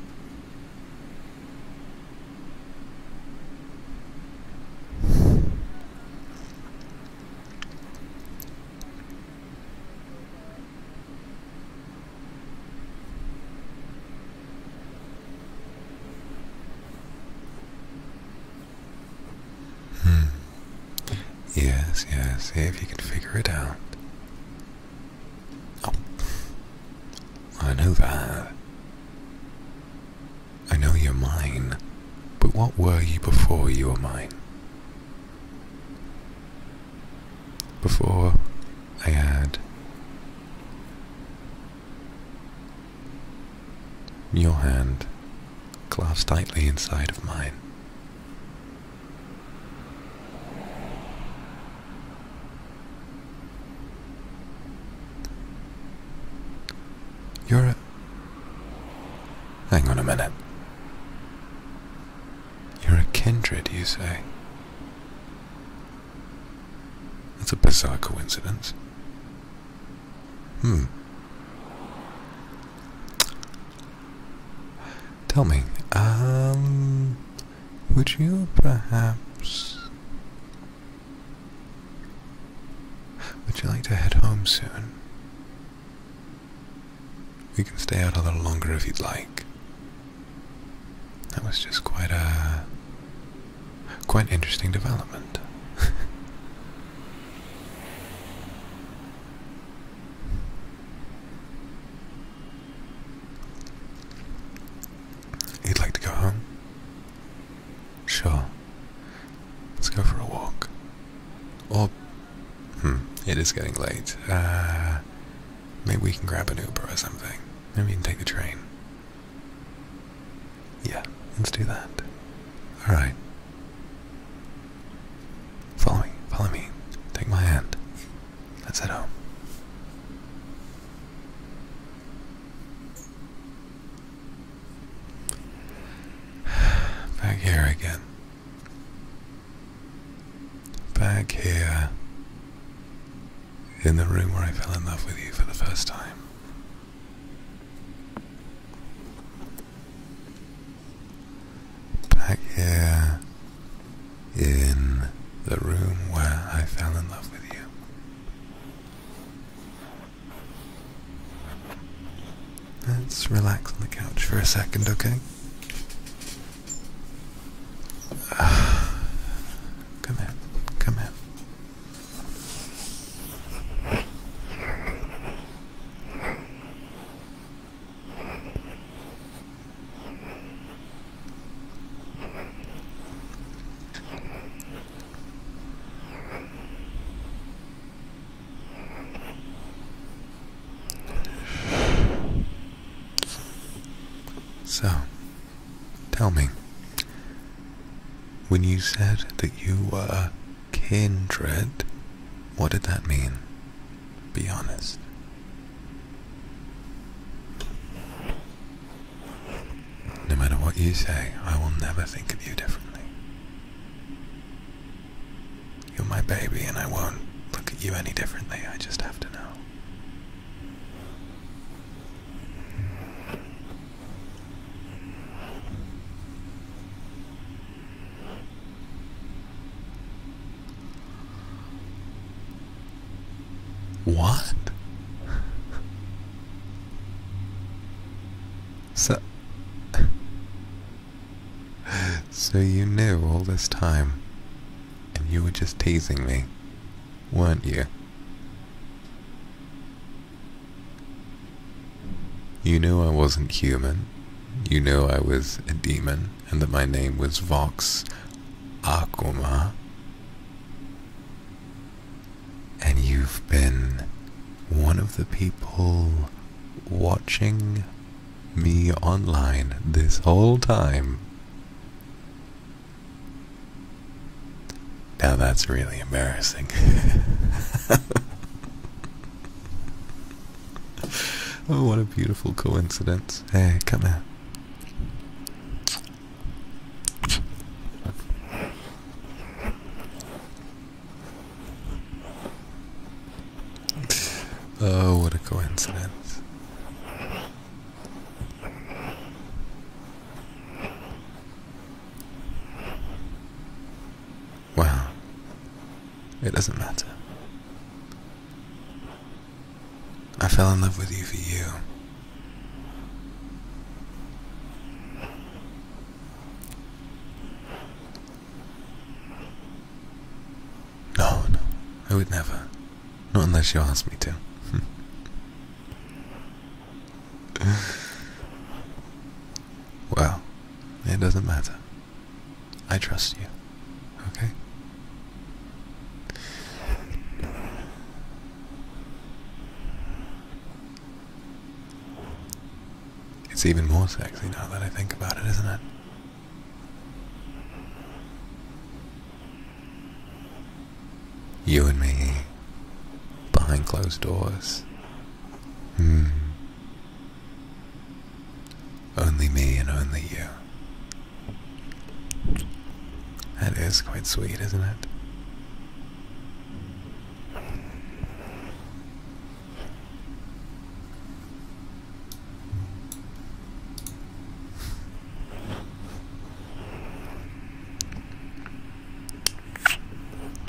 Hmm. Yes, yes, if you can figure it out. Oh. I know that. I know you're mine, but what were you before you were mine? Before I had your hand clasped tightly inside of mine. You're a. Hang on a minute. You're a kindred, you say? That's a bizarre coincidence. Hmm. Tell me, um. Would you perhaps... Would you like to head home soon? We can stay out a little longer if you'd like. That was just quite a... quite interesting development. You'd like to go home? Sure. Let's go for a walk. Or, hmm, it is getting late. Uh, maybe we can grab an Uber or something. Maybe we can take the train. Yeah, let's do that. Alright. Follow me, follow me. Take my hand. That's us head home. Back here again. Back here. In the room where I fell in love with you for the first time. Back here in the room where I fell in love with you. Let's relax on the couch for a second, okay? Come in, come in. So, tell me, when you said that you were kindred, what did that mean? Be honest. No matter what you say, I will never think of you differently. You're my baby, and I won't look at you any differently. I just have to know. What? So, so you knew all this time, and you were just teasing me, weren't you? You knew I wasn't human. You knew I was a demon and that my name was Vox Akuma. And you've been one of the people watching me online this whole time. Now that's really embarrassing. oh, what a beautiful coincidence. Hey, come here. Oh, what a coincidence. Wow. It doesn't matter. I fell in love with you for you. No, no, I would never. Not unless you asked me to. well, it doesn't matter. I trust you, okay? It's even more sexy now that I think about it, isn't it? You and me, behind closed doors. Hmm. Only me and only you. That is quite sweet, isn't it?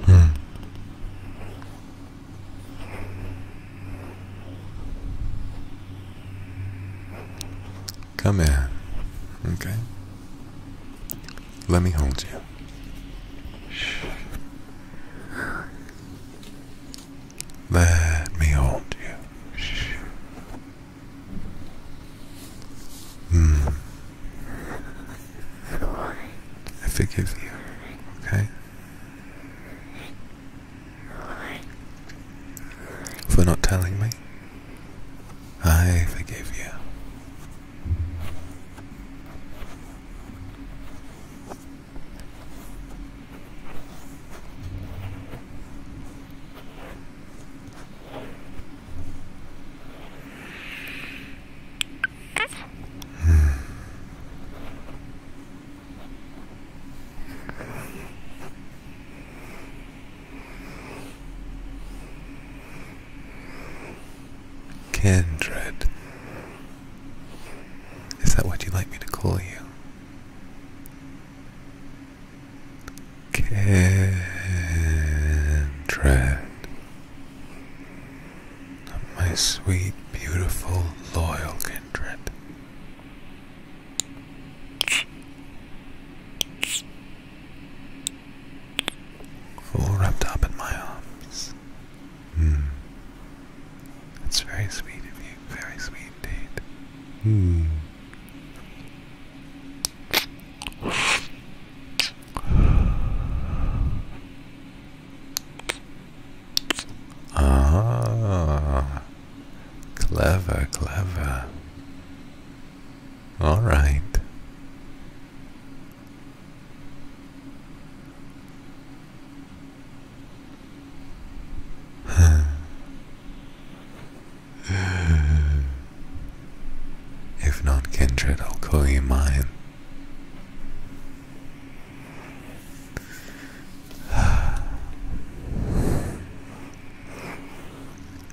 Hmm. Come here. Okay. Let me hold you. Let me hold you. Mm. I forgive you. Okay? For not telling me. I forgive you. Kindred. Is that what you'd like me to call you? Kindred. My sweet, beautiful, loyal kindred. All wrapped up in my arms. Mm. It's very sweet of you, very sweet indeed. Mm. Ah, clever, clever. All right. if not kindred, I'll call you mine.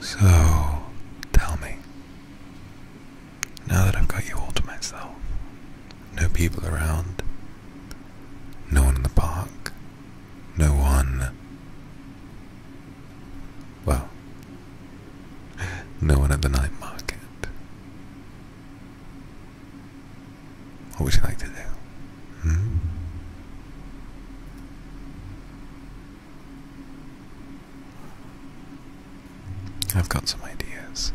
So, tell me. Now that I've got you all to myself, no people around, no one in the park, no one. Well, no one at the night market. What would you like to do? Hmm? I've got some ideas,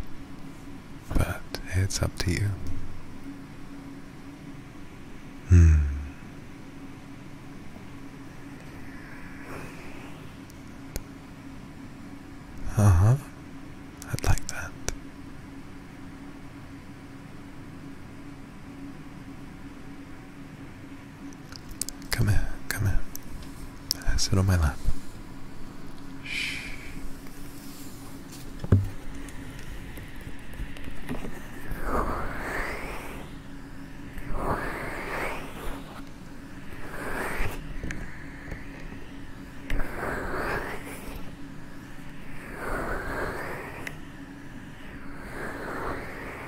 but it's up to you. Hmm. Uh huh. I'd like that. Come here, come here. Uh, sit on my lap. Shh.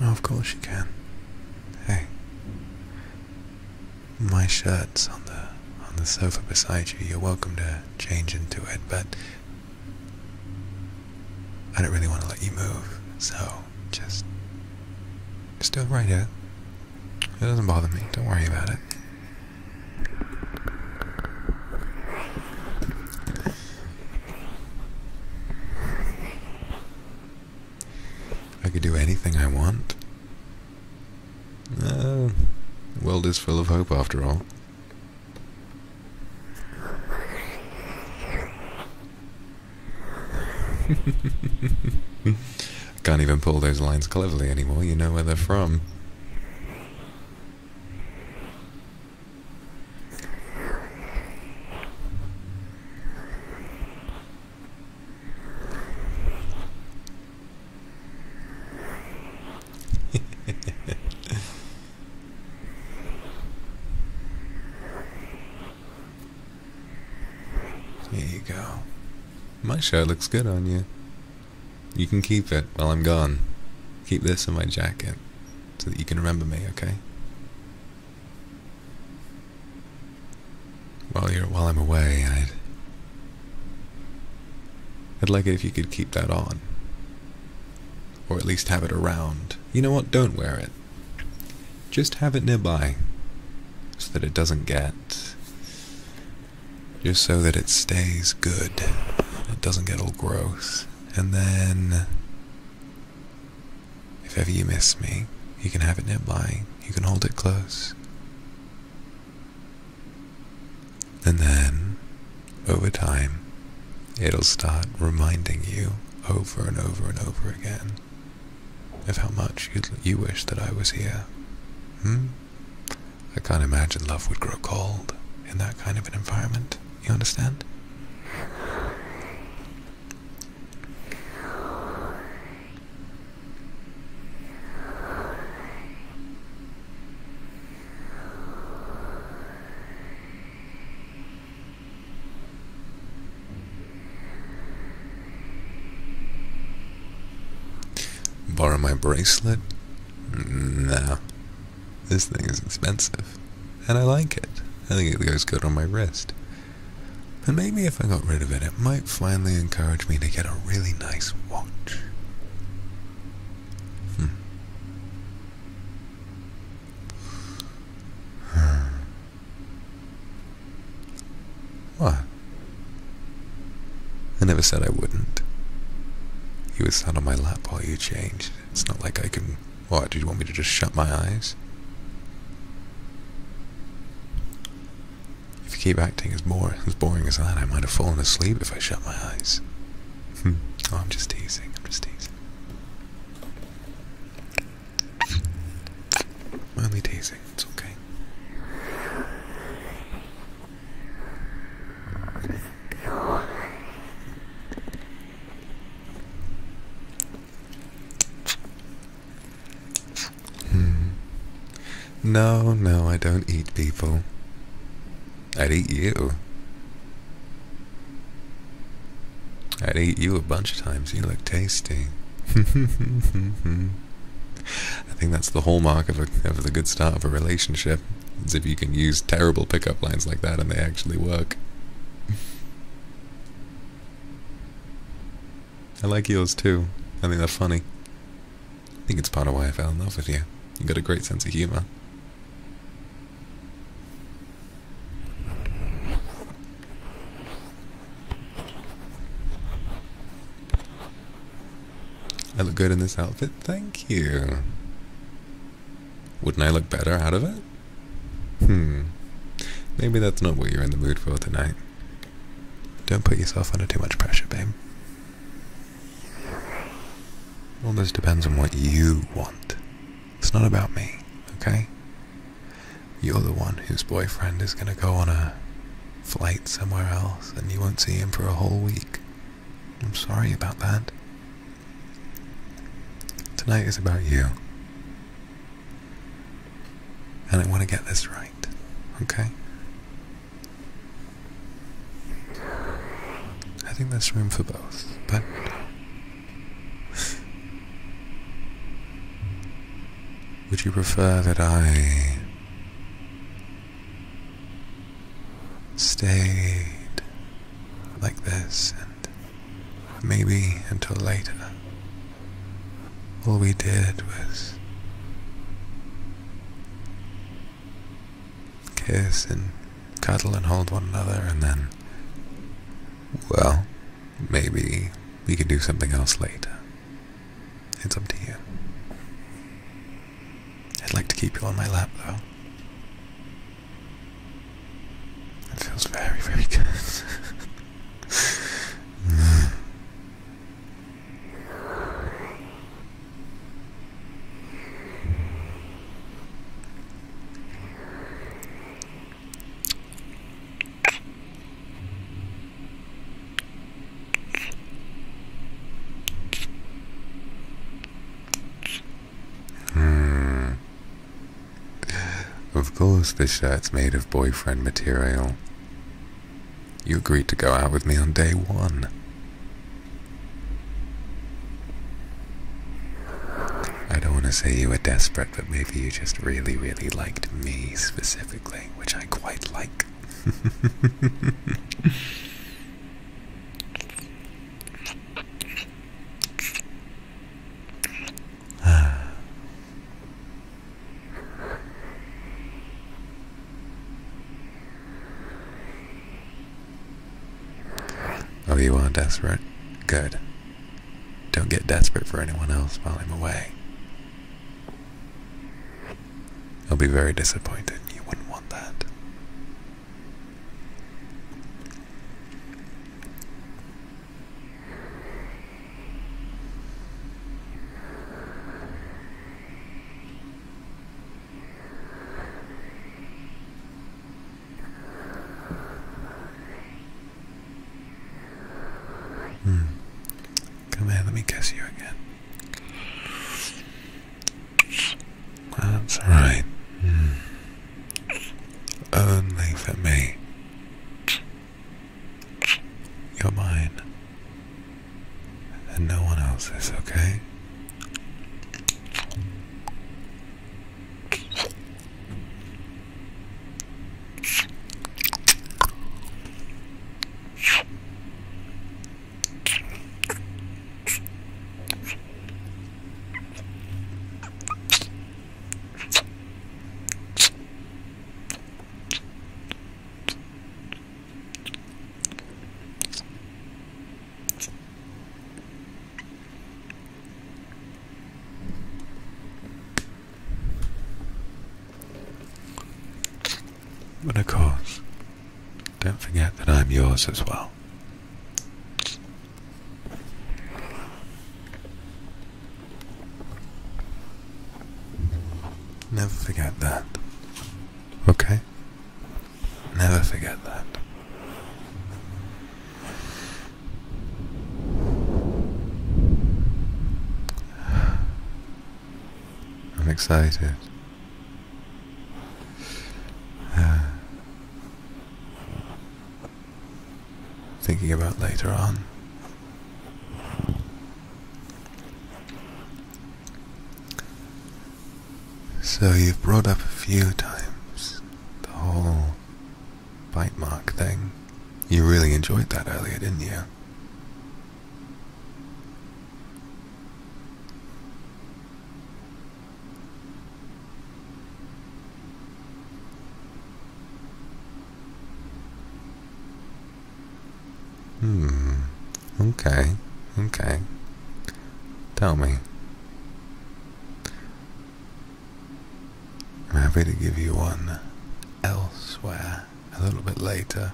Oh, of course you can. Hey. My shirt's on the on the sofa beside you. You're welcome to change into it, but I don't really want to let you move, so just still right here. It doesn't bother me. Don't worry about it. I can do anything I want. the uh, world is full of hope after all. can't even pull those lines cleverly anymore, you know where they're from. there you go. My shirt looks good on you. You can keep it while I'm gone. Keep this in my jacket so that you can remember me, okay? While you're while I'm away, I'd I'd like it if you could keep that on. Or at least have it around. You know what? Don't wear it. Just have it nearby. So that it doesn't get. Just so that it stays good. It doesn't get all gross. And then. If ever you miss me, you can have it nearby, you can hold it close. And then, over time, it'll start reminding you over and over and over again of how much you, you wish that I was here. Hmm? I can't imagine love would grow cold in that kind of an environment. You understand? Borrow my bracelet? Nah. This thing is expensive. And I like it. I think it goes good on my wrist. And maybe if I got rid of it, it might finally encourage me to get a really nice watch. Hmm. Hmm. what? I never said I wouldn't. You were sat on my lap while you changed. It's not like I can... What, do you want me to just shut my eyes? If you keep acting as, boring as that, I might have fallen asleep if I shut my eyes. Hmm. Oh, I'm just teasing, I'm just teasing. I'm only teasing, it's okay. Hmm. No, no, I don't eat people. I'd eat you. I'd eat you a bunch of times. You look tasty. I think that's the hallmark of, a, of the good start of a relationship. Is if you can use terrible pickup lines like that and they actually work. I like yours too. I think they're funny. I think it's part of why I fell in love with you. You have got a great sense of humor. I look good in this outfit, thank you. Wouldn't I look better out of it? Hmm. Maybe that's not what you're in the mood for tonight. Don't put yourself under too much pressure, babe. All this depends on what you want. It's not about me, okay? You're the one whose boyfriend is gonna go on a flight somewhere else and you won't see him for a whole week. I'm sorry about that. Tonight is about you. And I want to get this right. Okay? I think there's room for both, but. Would you prefer that I stayed like this and maybe until later all we did was kiss and cuddle and hold one another, and then, well, maybe we could do something else later. It's up to you. I'd like to keep you on my lap, though. It feels very, very good. Hmm. Of course, the shirt's made of boyfriend material. You agreed to go out with me on day one. I don't want to say you were desperate, but maybe you just really, really liked me specifically, which I quite like. Ah. Oh, you are desperate? Good. Don't get desperate for anyone else while I'm away. I'll be very disappointed. You wouldn't want that. Hmm. Come here, let me kiss you again. That's right. Hmm. Only for me. You're mine. And no one else's, okay? And of course, don't forget that I'm yours as well. Never forget that. Okay? Never forget that. I'm excited. Uh, thinking about later on. So you've brought up a few times the whole bite mark thing. You really enjoyed that earlier, didn't you? Hmm. Okay. Okay. Tell me. I'm happy to give you one elsewhere a little bit later.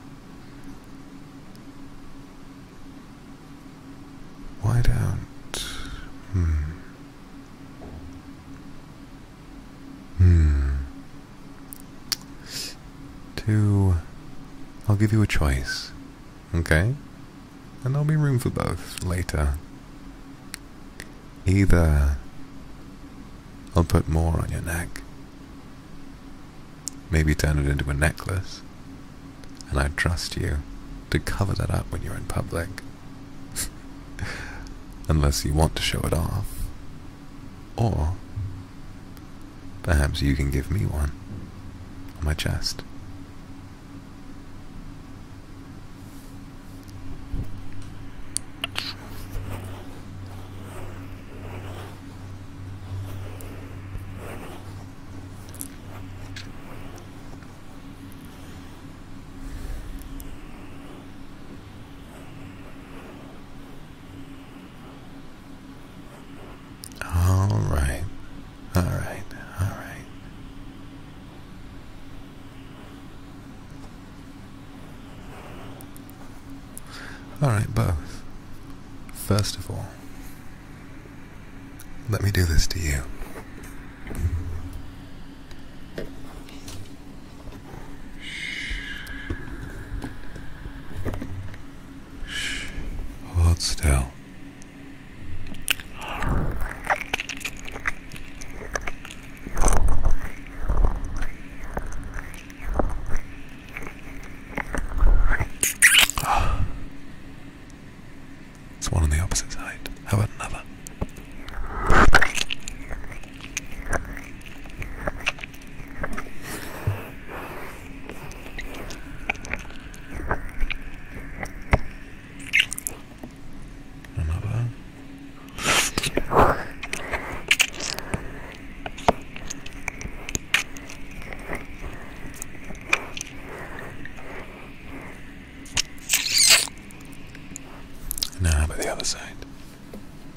Why don't... Hmm. Hmm. Two. I'll give you a choice. Okay? And there'll be room for both later. Either I'll put more on your neck. Maybe turn it into a necklace. And I trust you to cover that up when you're in public. Unless you want to show it off. Or perhaps you can give me one on my chest. All right. All right. All right. All right, both. First of all, let me do this to you. Hold still. It's one on the opposite side. How about another? Another. Nah, but the other side.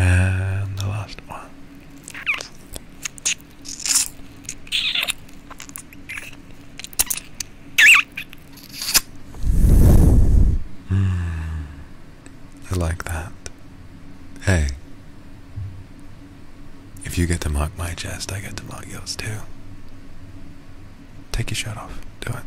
And the last one. Mm, I like that. Hey, if you get to mock my chest, I get to mock yours too. Take your shirt off. Do it.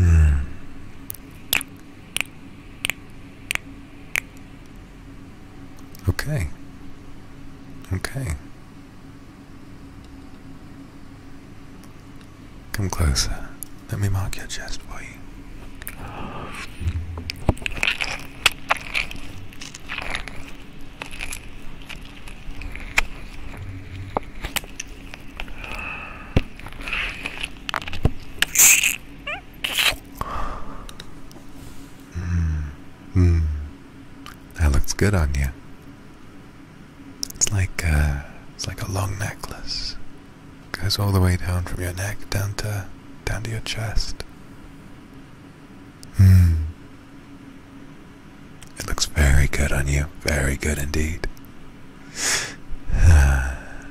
Mm. Okay. Okay. Come closer. Let me mark your chest for you. Mm, mm, that looks good on you. It's like uh, it's like a long necklace. Goes all the way down from your neck down to down to your chest. Mm. It looks very good on you. Very good indeed. Ah.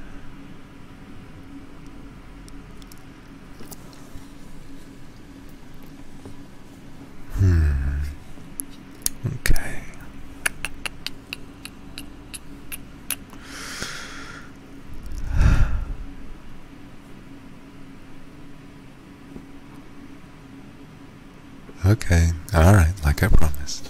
Hmm. Okay. Okay, alright, like I promised.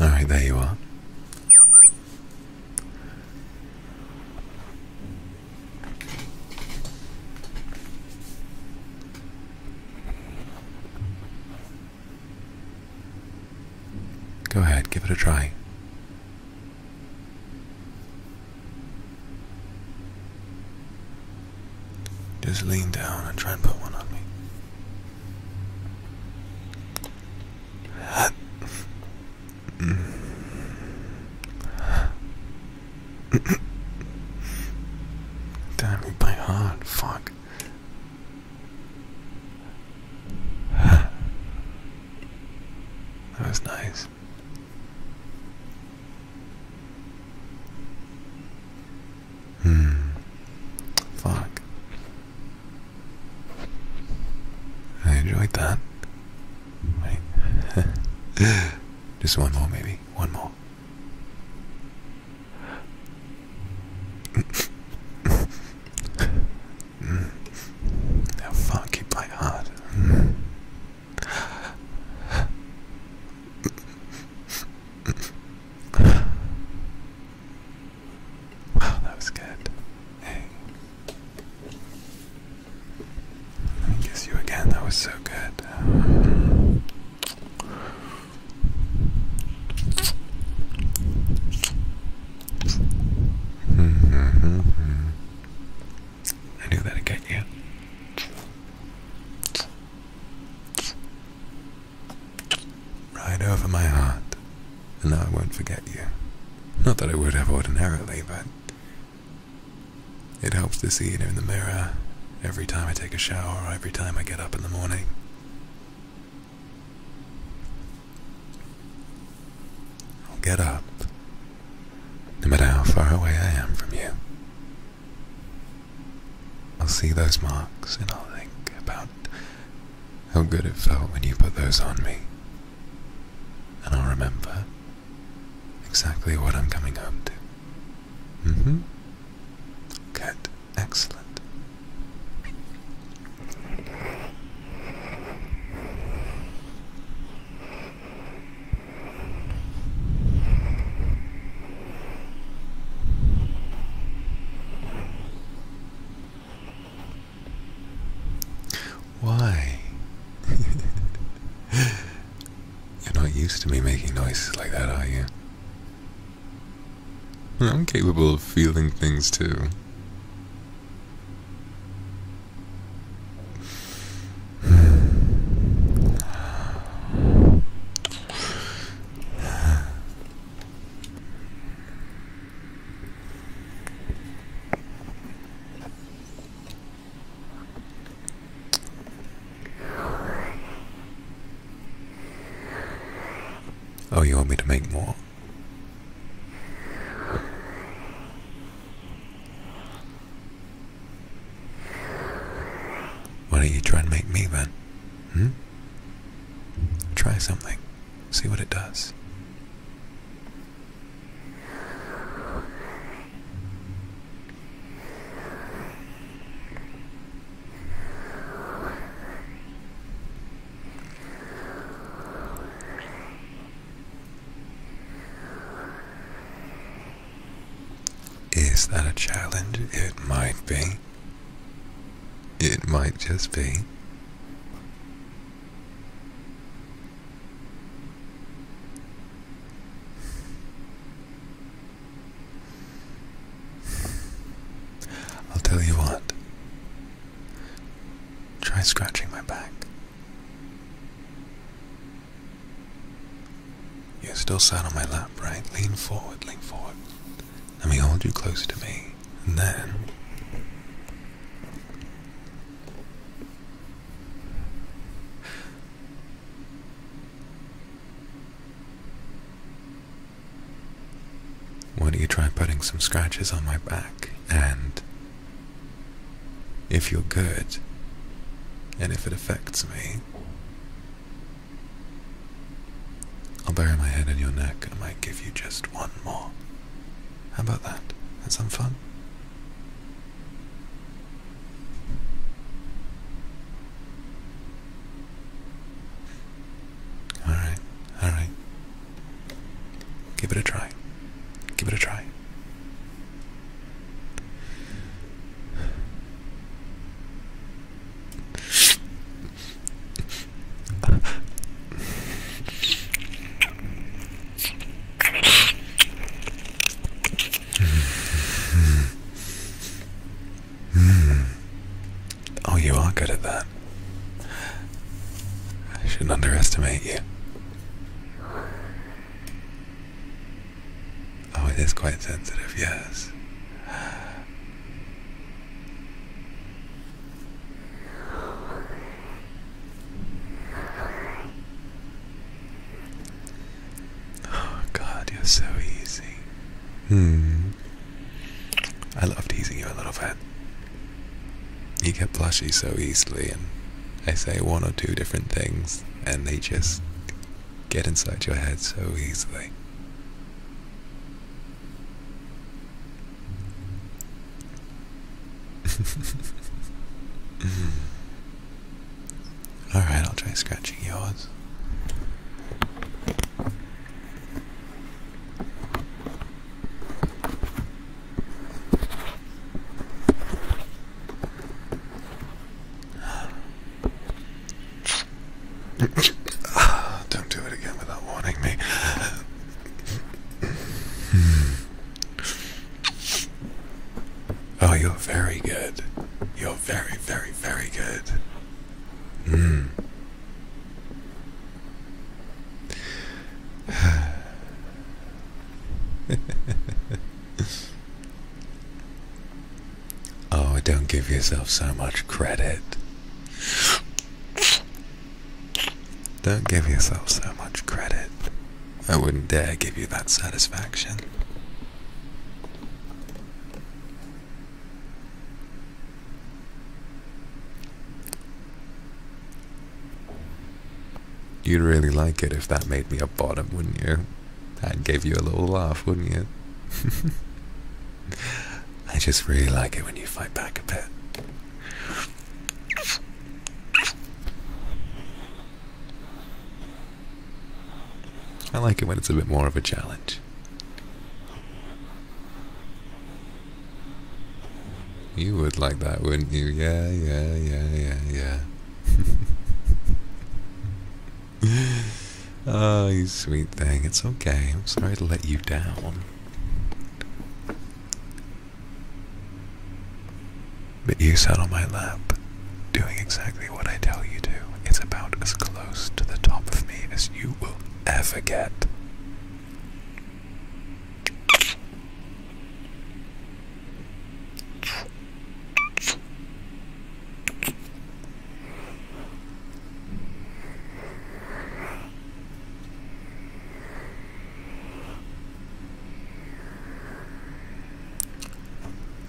All right, there you are. Go ahead, give it a try. Just lean down and try and put one on me. Damn, you play hard. Fuck. that was nice. Hmm. Fuck. I enjoyed that. Just one more, maybe. One more. Now, fuck, you play hard wow, that was good. kiss you again. That was so good. Um, I knew that'd you. Right over my heart, and now I won't forget you. Not that I would have ordinarily, but it helps to see it in the mirror every time I take a shower every time I get up in the morning. I'll get up, no matter how far away I am from you. I'll see those marks and I'll think about how good it felt when you put those on me. And I'll remember exactly what I'm coming home to. Mm hmm. Good. Excellent. Why? You're not used to me making noises like that, are you? I'm capable of feeling things too. Oh, you want me to make more? Why don't you try and make me then? Hmm? Try something. See what it does. Is that a challenge? It might be. It might just be. I'll tell you what. Try scratching my back. You're still sat on my lap, right? Lean forward, lean forward. Let me hold you close to me. And then. Why don't you try putting some scratches on my back? And. If you're good, and if it affects me, I'll bury my head in your neck and I might give you just one more. How about that? That's some fun. Alright, alright. Give it a try. Give it a try. Oh, you are good at that. I shouldn't underestimate you. Oh, it is quite sensitive, yes. Oh God, you're so easy. Hmm. I love teasing you a little bit. You get blushy so easily, and they say one or two different things, and they just get inside your head so easily. Alright, I'll try scratching yours. Don't do it again without warning me. Oh, you're very good. You're very, very, very good. Mm. Oh, don't give yourself so much credit. Don't give yourself so much credit. I wouldn't dare give you that satisfaction. You'd really like it if that made me a bottom, wouldn't you? That gave you a little laugh, wouldn't you? I just really like it when you fight back a bit. I like it when it's a bit more of a challenge. You would like that, wouldn't you? Yeah, yeah, yeah, yeah, yeah. oh, you sweet thing. It's okay. I'm sorry to let you down. But you sat on my lap, doing exactly what I tell you to. It's about as close to the top of me as you will ever get.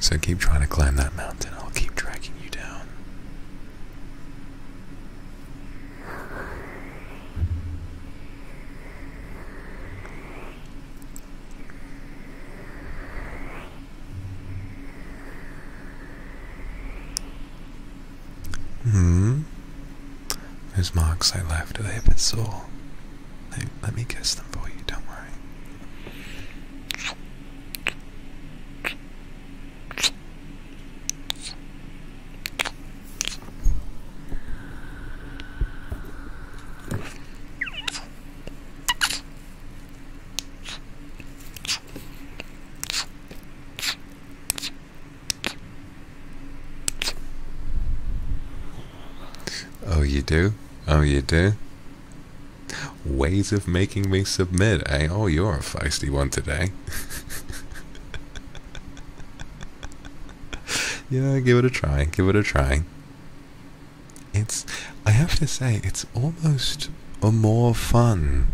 So keep trying to climb that mountain, I'll keep tracking you down. Hmm. Those marks I left, are they a bit sore? let me kiss them for you, don't worry. Oh, you do? Oh, you do? Ways of making me submit, eh? Oh, you're a feisty one today. yeah, give it a try. Give it a try. It's, I have to say, it's almost a more fun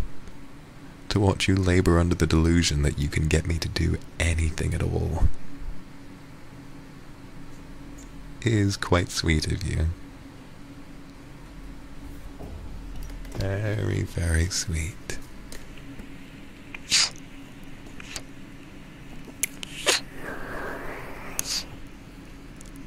to watch you labor under the delusion that you can get me to do anything at all. is quite sweet of you. Very, very sweet.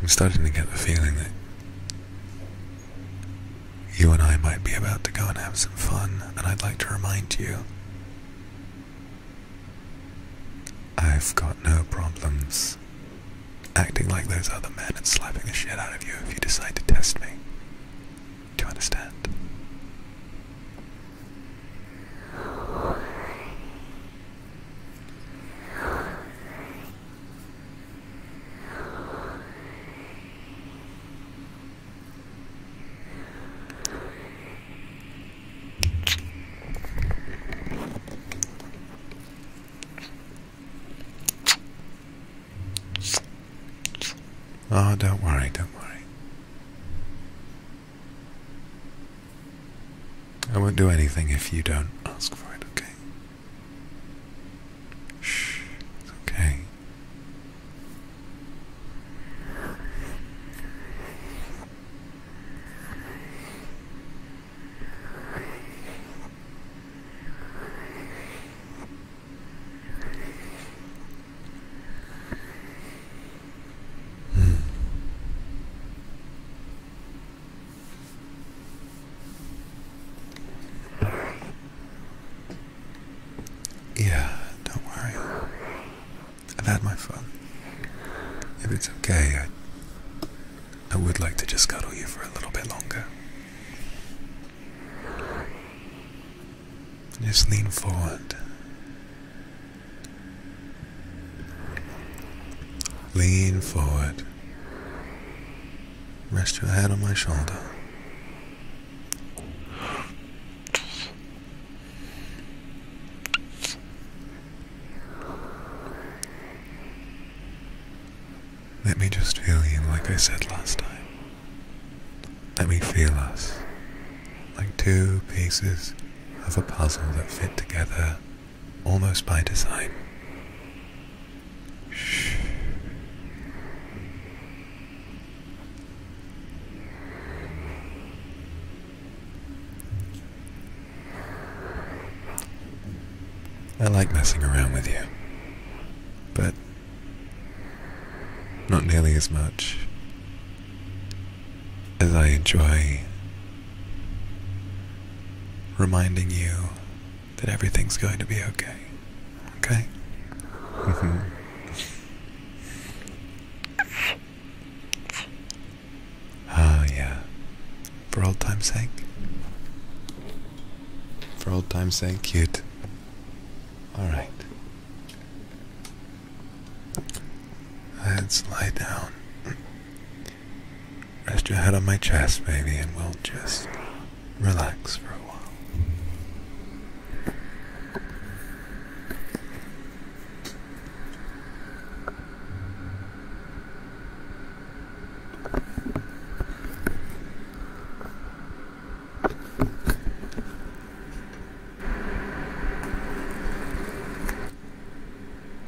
I'm starting to get the feeling that you and I might be about to go and have some fun, and I'd like to remind you I've got no problems acting like those other men and slapping the shit out of you if you decide to test me. Do you understand? Oh, don't worry, don't worry. I won't do anything if you don't ask for it, okay? Shh, it's okay. Hmm. Yeah, don't worry. I've had my fun. If it's okay, I, I would like to just cuddle you for a little bit longer. Just lean forward Lean forward. Rest your head on my shoulder. Let me just feel you like I said last time. Let me feel us like two pieces of a puzzle that fit together almost by design. Shh. I like messing around with you, but not nearly as much as I enjoy reminding you that everything's going to be okay. Okay? Mm-hmm. Ah, yeah. For old time's sake. For old time's sake, cute. Alright. Let's lie down. Rest your head on my chest, baby, and we'll just relax for a while.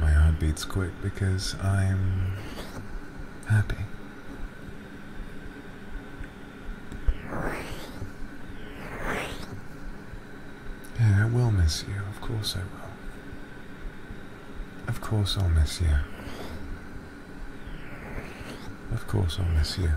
My heart beats quick because I'm happy. Yeah, I will miss you, of course I will. Of course I'll miss you. Of course I'll miss you.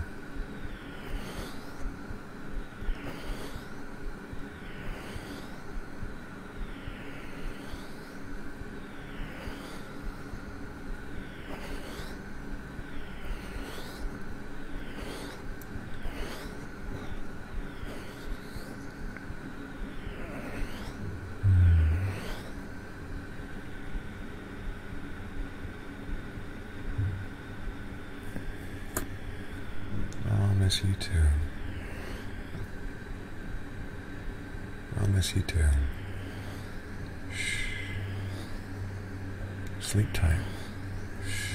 I'll miss you too. I'll miss you too. Shh. Sleep time. Shh.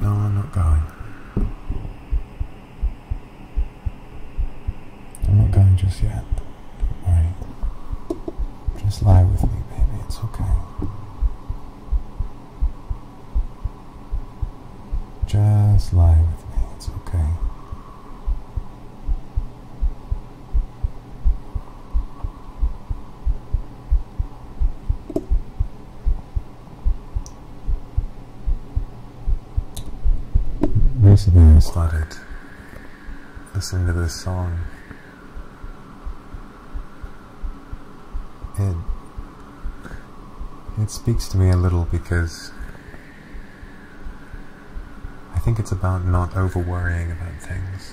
No, I'm not going. I'm not going just yet. do Just lie with me, baby. It's okay. Just lie with me. It's okay. Recently started listening to this song. It it speaks to me a little because I think it's about not over worrying about things.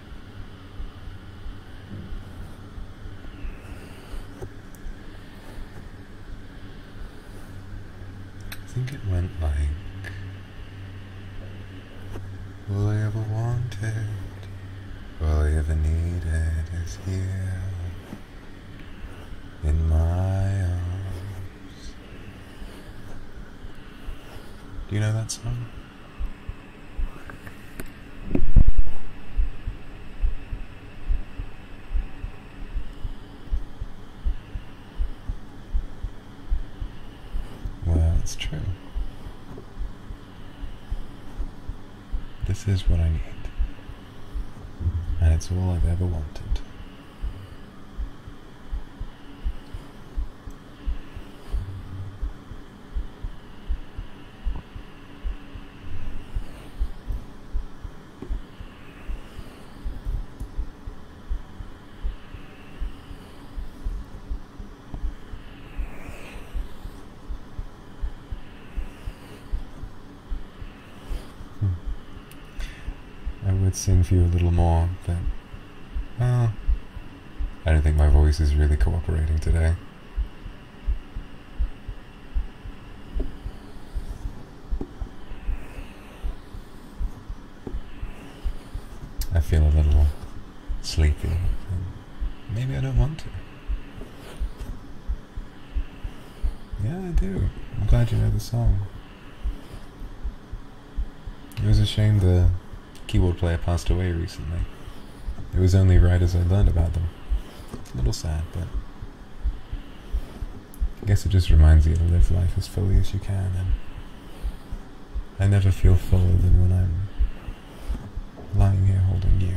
I think it went like, all I ever wanted, all I ever needed is here in my arms. Do you know that song? Well, it's true. This is what I need, and it's all I've ever wanted. Hmm. I would sing for you a little more, but well, uh. I don't think my voice is really cooperating today. I feel a little sleepy. Maybe I don't want to. Yeah, I do. I'm glad you know the song. It was a shame the keyboard player passed away recently. It was only right as I learned about them. It's a little sad, but I guess it just reminds you to live life as fully as you can. And I never feel fuller than when I'm lying here holding you.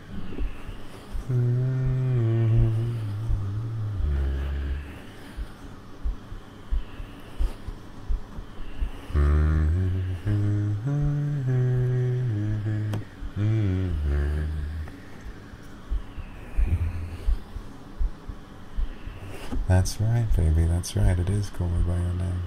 That's right, baby. That's right. It is called by your name.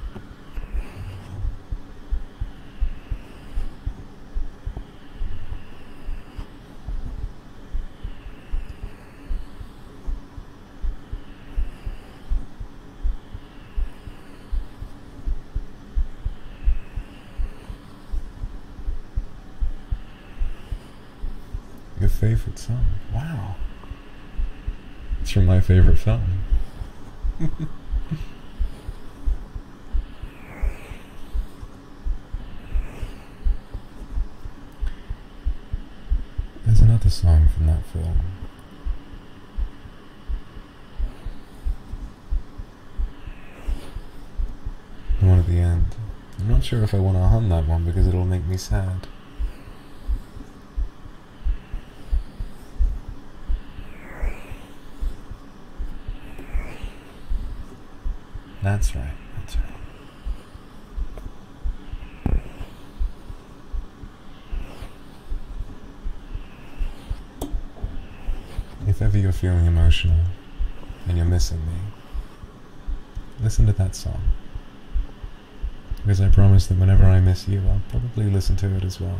Your favorite song. Wow. It's from my favorite film. There's another song from that film. one at the end. I'm not sure if I want to hum that one because it'll make me sad. That's right. That's right. If ever you're feeling emotional and you're missing me, listen to that song. Because I promise that whenever I miss you, I'll probably listen to it as well.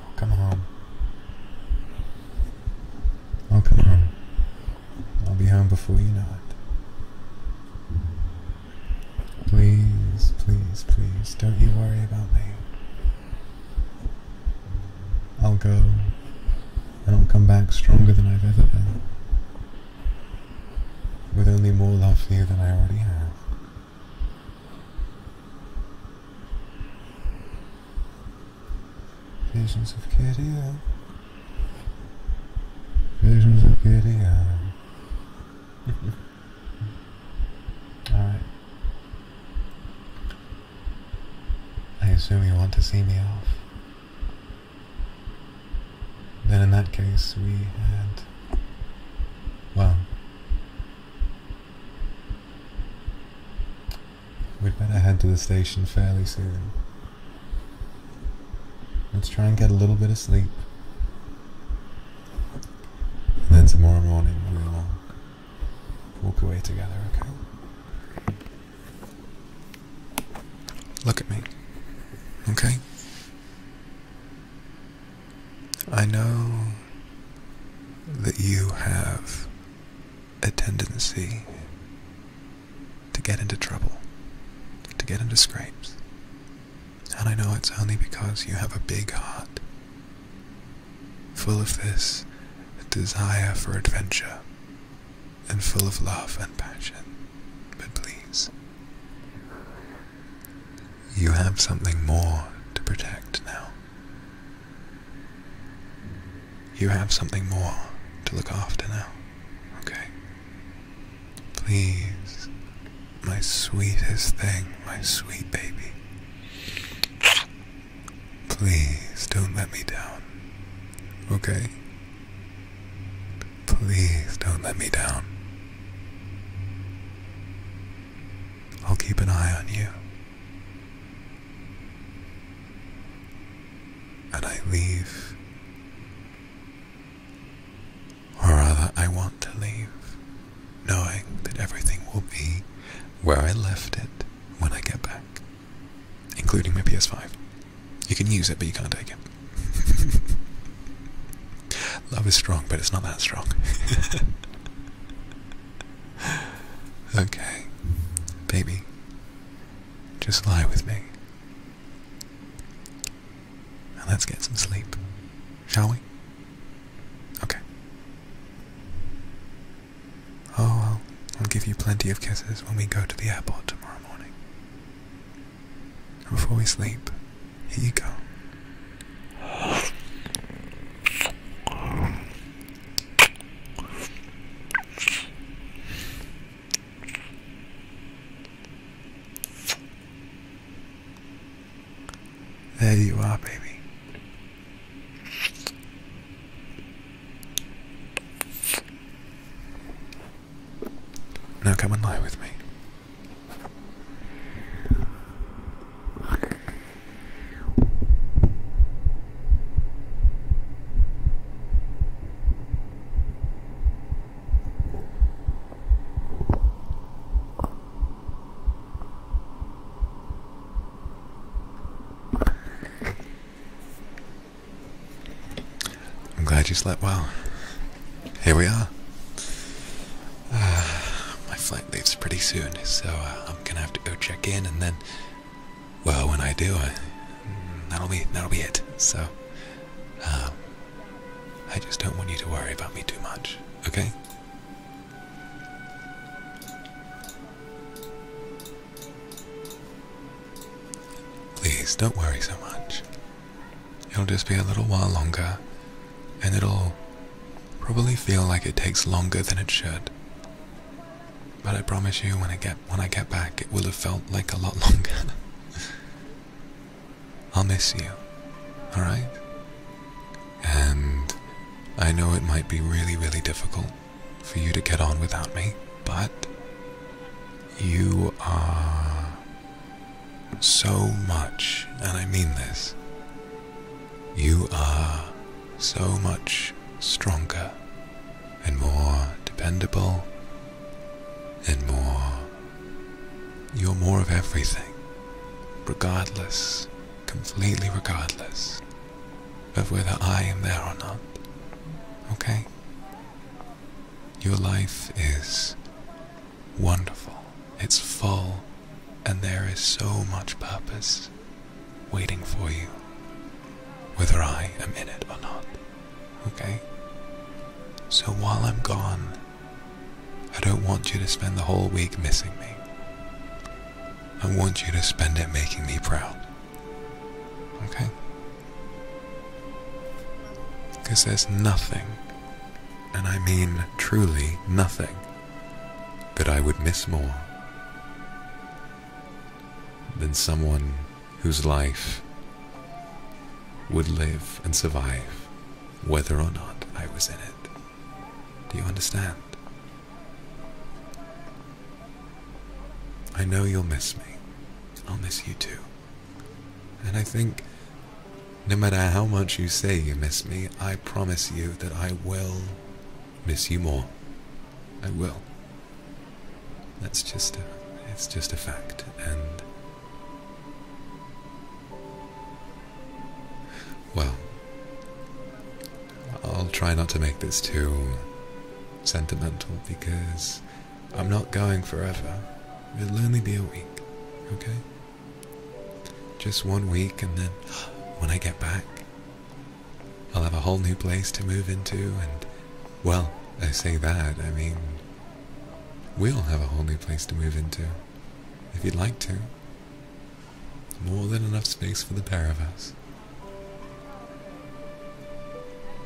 I'll come home. I'll come home. I'll be home before you know it. Please, please, please, don't you worry about me. I'll go, and I'll come back stronger than I've ever been, with only more love for you than I already have. Visions of Kitty Visions of Kitty Alright. I assume you want to see me off. Then in that case, we had. Well. We'd better head to the station fairly soon. Let's try and get a little bit of sleep. And then tomorrow morning we'll walk away together, okay? Look at me, okay? I know that you have a tendency to get into trouble, to get into scrapes. And I know it's only because you have a big heart, full of this desire for adventure, and full of love and passion. But please, you have something more to protect now. You have something more to look after now, okay? Please, my sweetest thing, my sweet baby. Please don't let me down, okay? Please don't let me down. I'll keep an eye on you. And I leave. Or rather, I want to leave, knowing that everything will be where I left it when I get back, including my PS5. You can use it, but you can't take it. Love is strong, but it's not that strong. okay, baby, just lie with me. and let's get some sleep, shall we? Okay. Oh, I'll, I'll give you plenty of kisses when we go to the airport tomorrow morning. Before we sleep, here you go. There you are, baby. Now come and lie with me. I'm glad you slept well. Here we are. Uh, my flight leaves pretty soon, so uh, I'm gonna have to go check in, and then, well, when I do, that'll be that'll be it. So, uh, I just don't want you to worry about me too much, okay? Please don't worry so much. It'll just be a little while longer, and it'll Probably feel like it takes longer than it should. But I promise you when I get when I get back it will have felt like a lot longer. I'll miss you. Alright? And I know it might be really, really difficult for you to get on without me, but you are so much, and I mean this, you are so much stronger and more dependable and more. You're more of everything, regardless, completely regardless of whether I am there or not. Okay? Your life is wonderful, it's full, and there is so much purpose waiting for you, whether I am in it or not. Okay? So while I'm gone, I don't want you to spend the whole week missing me. I want you to spend it making me proud. Okay? Because there's nothing, and I mean truly nothing, that I would miss more than someone whose life would live and survive whether or not I was in it. Do you understand? I know you'll miss me. I'll miss you too. And I think no matter how much you say you miss me, I promise you that I will miss you more. I will. That's just a, it's just a fact, and well, I'll try not to make this too sentimental because I'm not going forever. It'll only be a week, okay? Just one week, and then when I get back, I'll have a whole new place to move into, and well, I say that, I mean, we'll have a whole new place to move into, if you'd like to. More than enough space for the pair of us.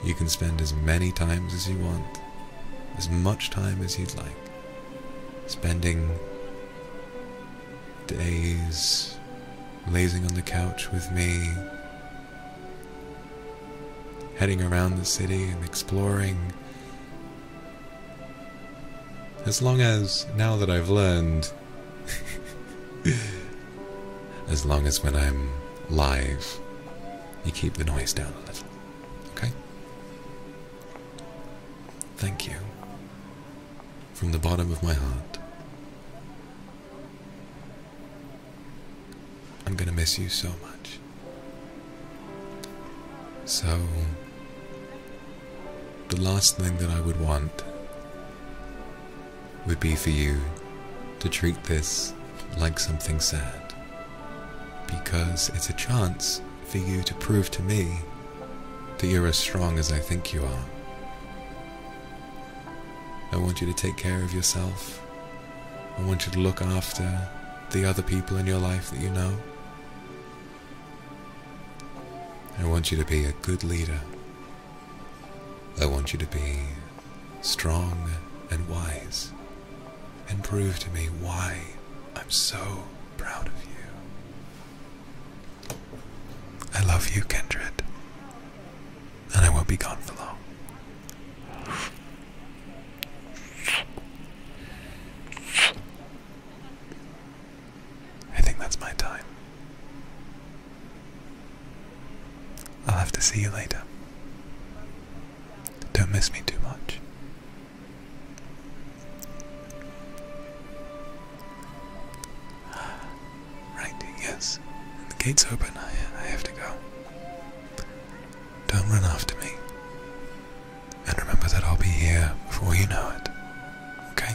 You can spend as many times as you want, as much time as you'd like. Spending days, lazing on the couch with me, heading around the city and exploring. As long as, now that I've learned, as long as when I'm live, you keep the noise down a little. Okay? Thank you from the bottom of my heart. I'm gonna miss you so much. So, the last thing that I would want would be for you to treat this like something sad, because it's a chance for you to prove to me that you're as strong as I think you are. I want you to take care of yourself. I want you to look after the other people in your life that you know. I want you to be a good leader. I want you to be strong and wise and prove to me why I'm so proud of you. I love you, Kindred, and I will not be gone for long. I think that's my time. I'll have to see you later. Don't miss me too much. Right, yes. The gate's open. I, have to go. Don't run after me. And remember that I'll be here before you know it. Okay?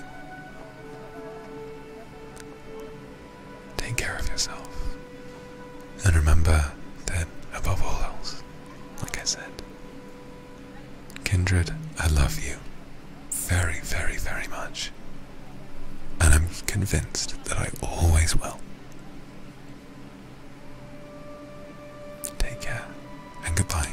Take care of yourself. And remember that, above all else, like I said, Kindred, I love you very, very, very much. And I'm convinced that I always will. Take care and goodbye.